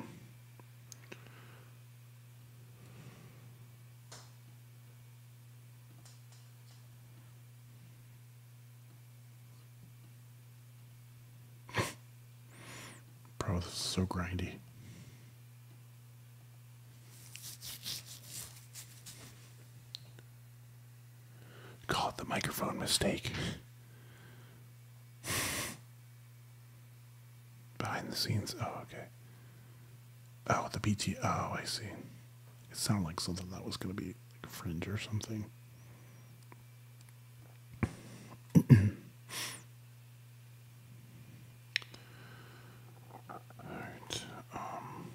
Bro, so grindy. Caught the microphone mistake. Behind the scenes. Oh, okay. Oh, the BT. Oh, I see. It sounded like something that was going to be like fringe or something. Alright, um,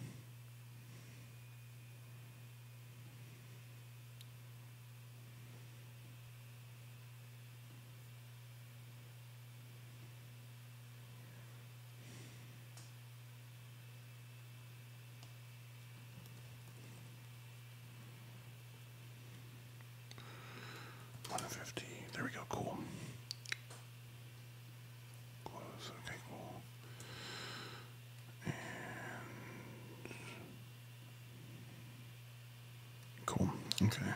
one fifty. There we go, cool. Close. Okay, cool. cool. Okay.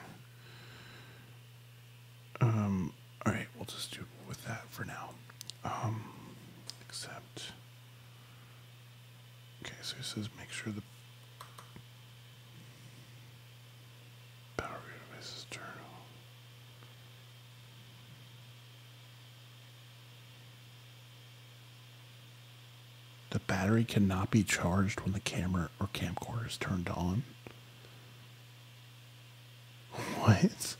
Um. All right. We'll just do with that for now. Um. Except. Okay. So he says make sure the Power Database's journal. The battery cannot be charged when the camera or camcorder is turned on. What?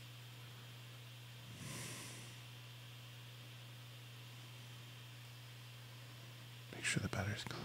Make sure the battery's clean.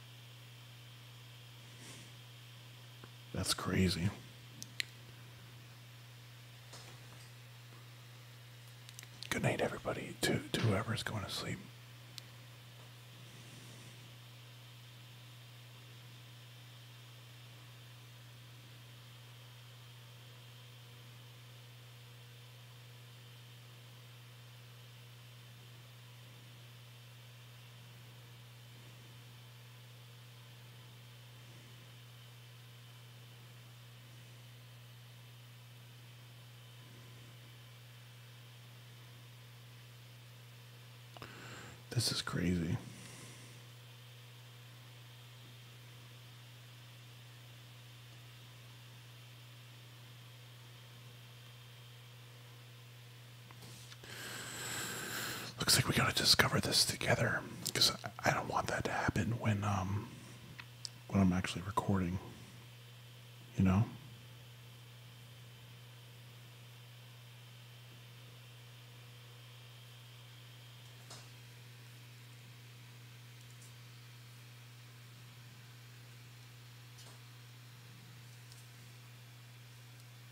That's crazy. Good night, everybody. To, whoever's going to sleep. This is crazy. Looks like we gotta discover this together because I don't want that to happen when um, when I'm actually recording. You know?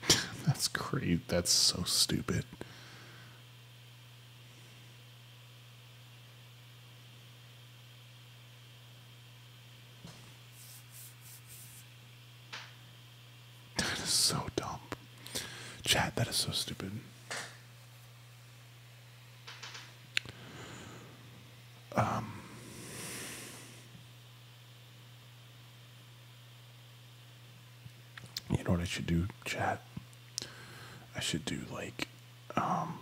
That's crazy. That's so stupid. That is so dumb. Chad. that is so stupid. Um you know what I should do, chat? I should do like, um,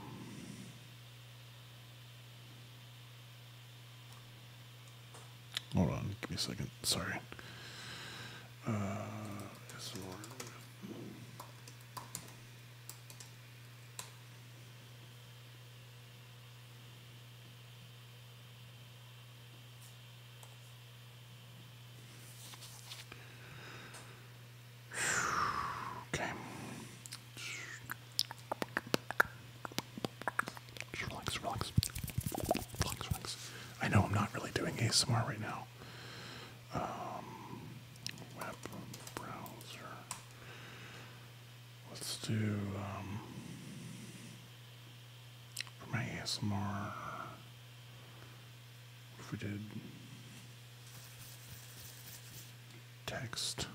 hold on, give me a second. Sorry. Uh, Okay. relax, relax. Relax, relax. I know I'm not really doing ASMR right now. Um, web browser. Let's do um, for my ASMR. if we did text?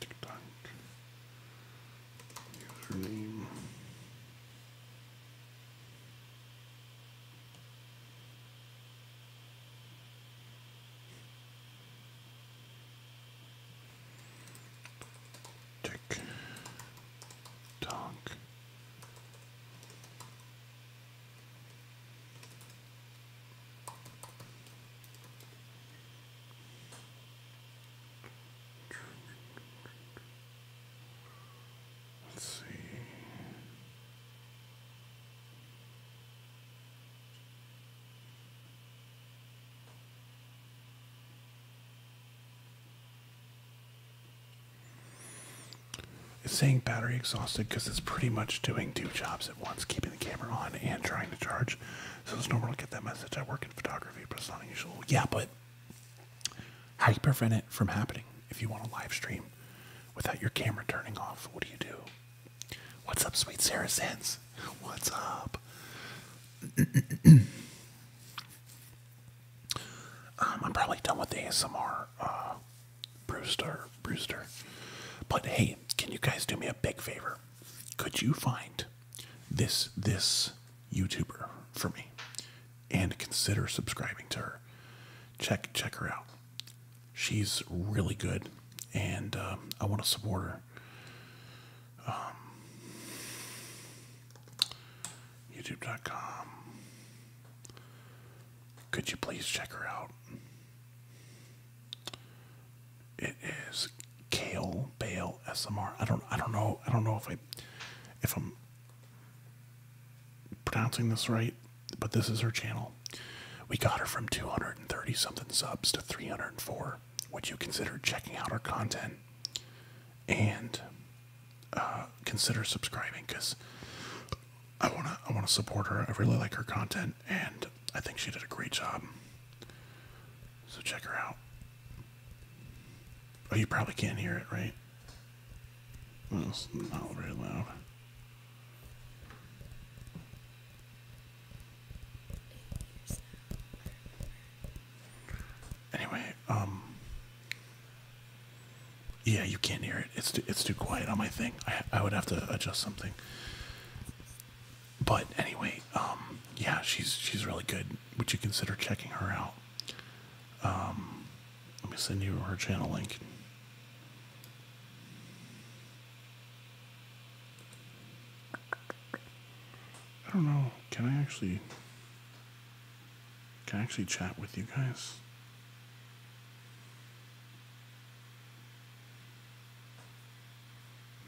TikTok username. Tick tock. Let's see. It's saying battery exhausted because it's pretty much doing two jobs at once, keeping the camera on and trying to charge. So it's normal to get that message. I work in photography, but it's not unusual. Yeah, but how do you prevent it from happening if you want to live stream without your camera turning off? What do you do? What's up, sweet Sarah Sense? What's up? Um, I'm probably done with the ASMR, uh, Brewster, Brewster. But hey, can you guys do me a big favor? Could you find this this YouTuber for me, and consider subscribing to her? Check check her out. She's really good, and um, I want to support her. Um, YouTube.com. Could you please check her out? It is Kale Bale SMR. I don't. I don't know. I don't know if I, if I'm pronouncing this right, but this is her channel. We got her from 230 something subs to 304 would you consider checking out our content and uh, consider subscribing? Because I wanna, I wanna support her. I really like her content, and I think she did a great job. So check her out. Oh, you probably can't hear it, right? Well, it's not very loud. Anyway, um, yeah, you can't hear it. It's too, it's too quiet on my thing. I I would have to adjust something. But anyway, um, yeah, she's she's really good. Would you consider checking her out? Um, let me send you her channel link. I don't know. Can I actually can actually chat with you guys?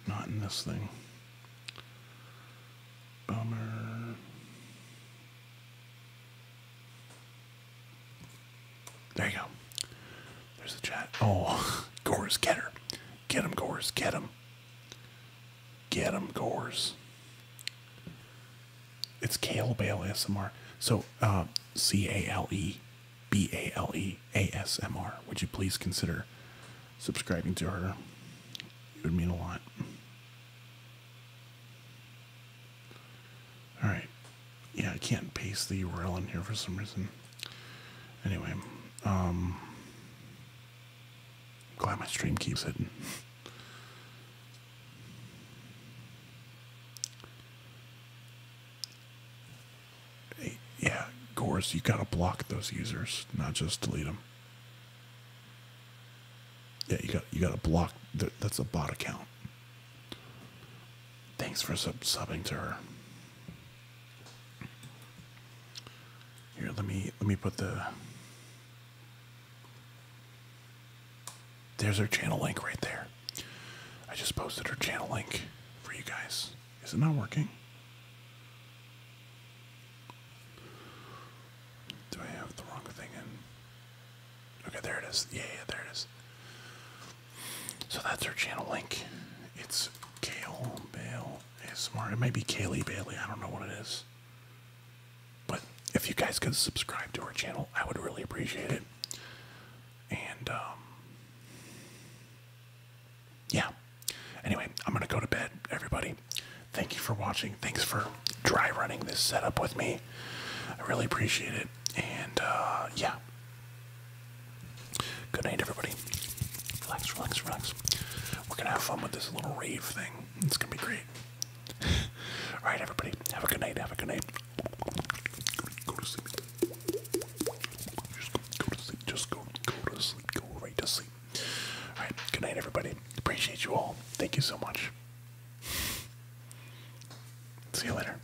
Not in this thing. Bummer. There you go. There's the chat. Oh, Gores, get her. Get him, Gores, get him. Get them Gores. It's Kale Bale ASMR. So, uh, C A L E B A L E A S M R. Would you please consider subscribing to her? It would mean a lot. Alright. Yeah, I can't paste the URL in here for some reason. Anyway, um, Glad my stream keeps hitting. yeah, Gores, you gotta block those users, not just delete them. Yeah, you got you gotta block. that's a bot account. Thanks for sub subbing to her. Here, let me let me put the There's her channel link right there. I just posted her channel link for you guys. Is it not working? Do I have the wrong thing in? Okay, there it is. Yeah, yeah, there it is. So that's her channel link. It's Gail Bale ASMR. It might be Kaylee Bailey. I don't know what it is. But if you guys could subscribe to our channel, I would really appreciate it. And, um, yeah. Anyway, I'm going to go to bed, everybody. Thank you for watching. Thanks for dry running this setup with me. I really appreciate it. And, uh, yeah. Good night, everybody. Relax, relax, relax. We're gonna have fun with this little rave thing. It's gonna be great. Alright, everybody, have a good night, have a good night. Go to sleep. Just go, go to sleep, just go, go to sleep, go right to sleep. Alright, good night, everybody. Appreciate you all. Thank you so much. See you later.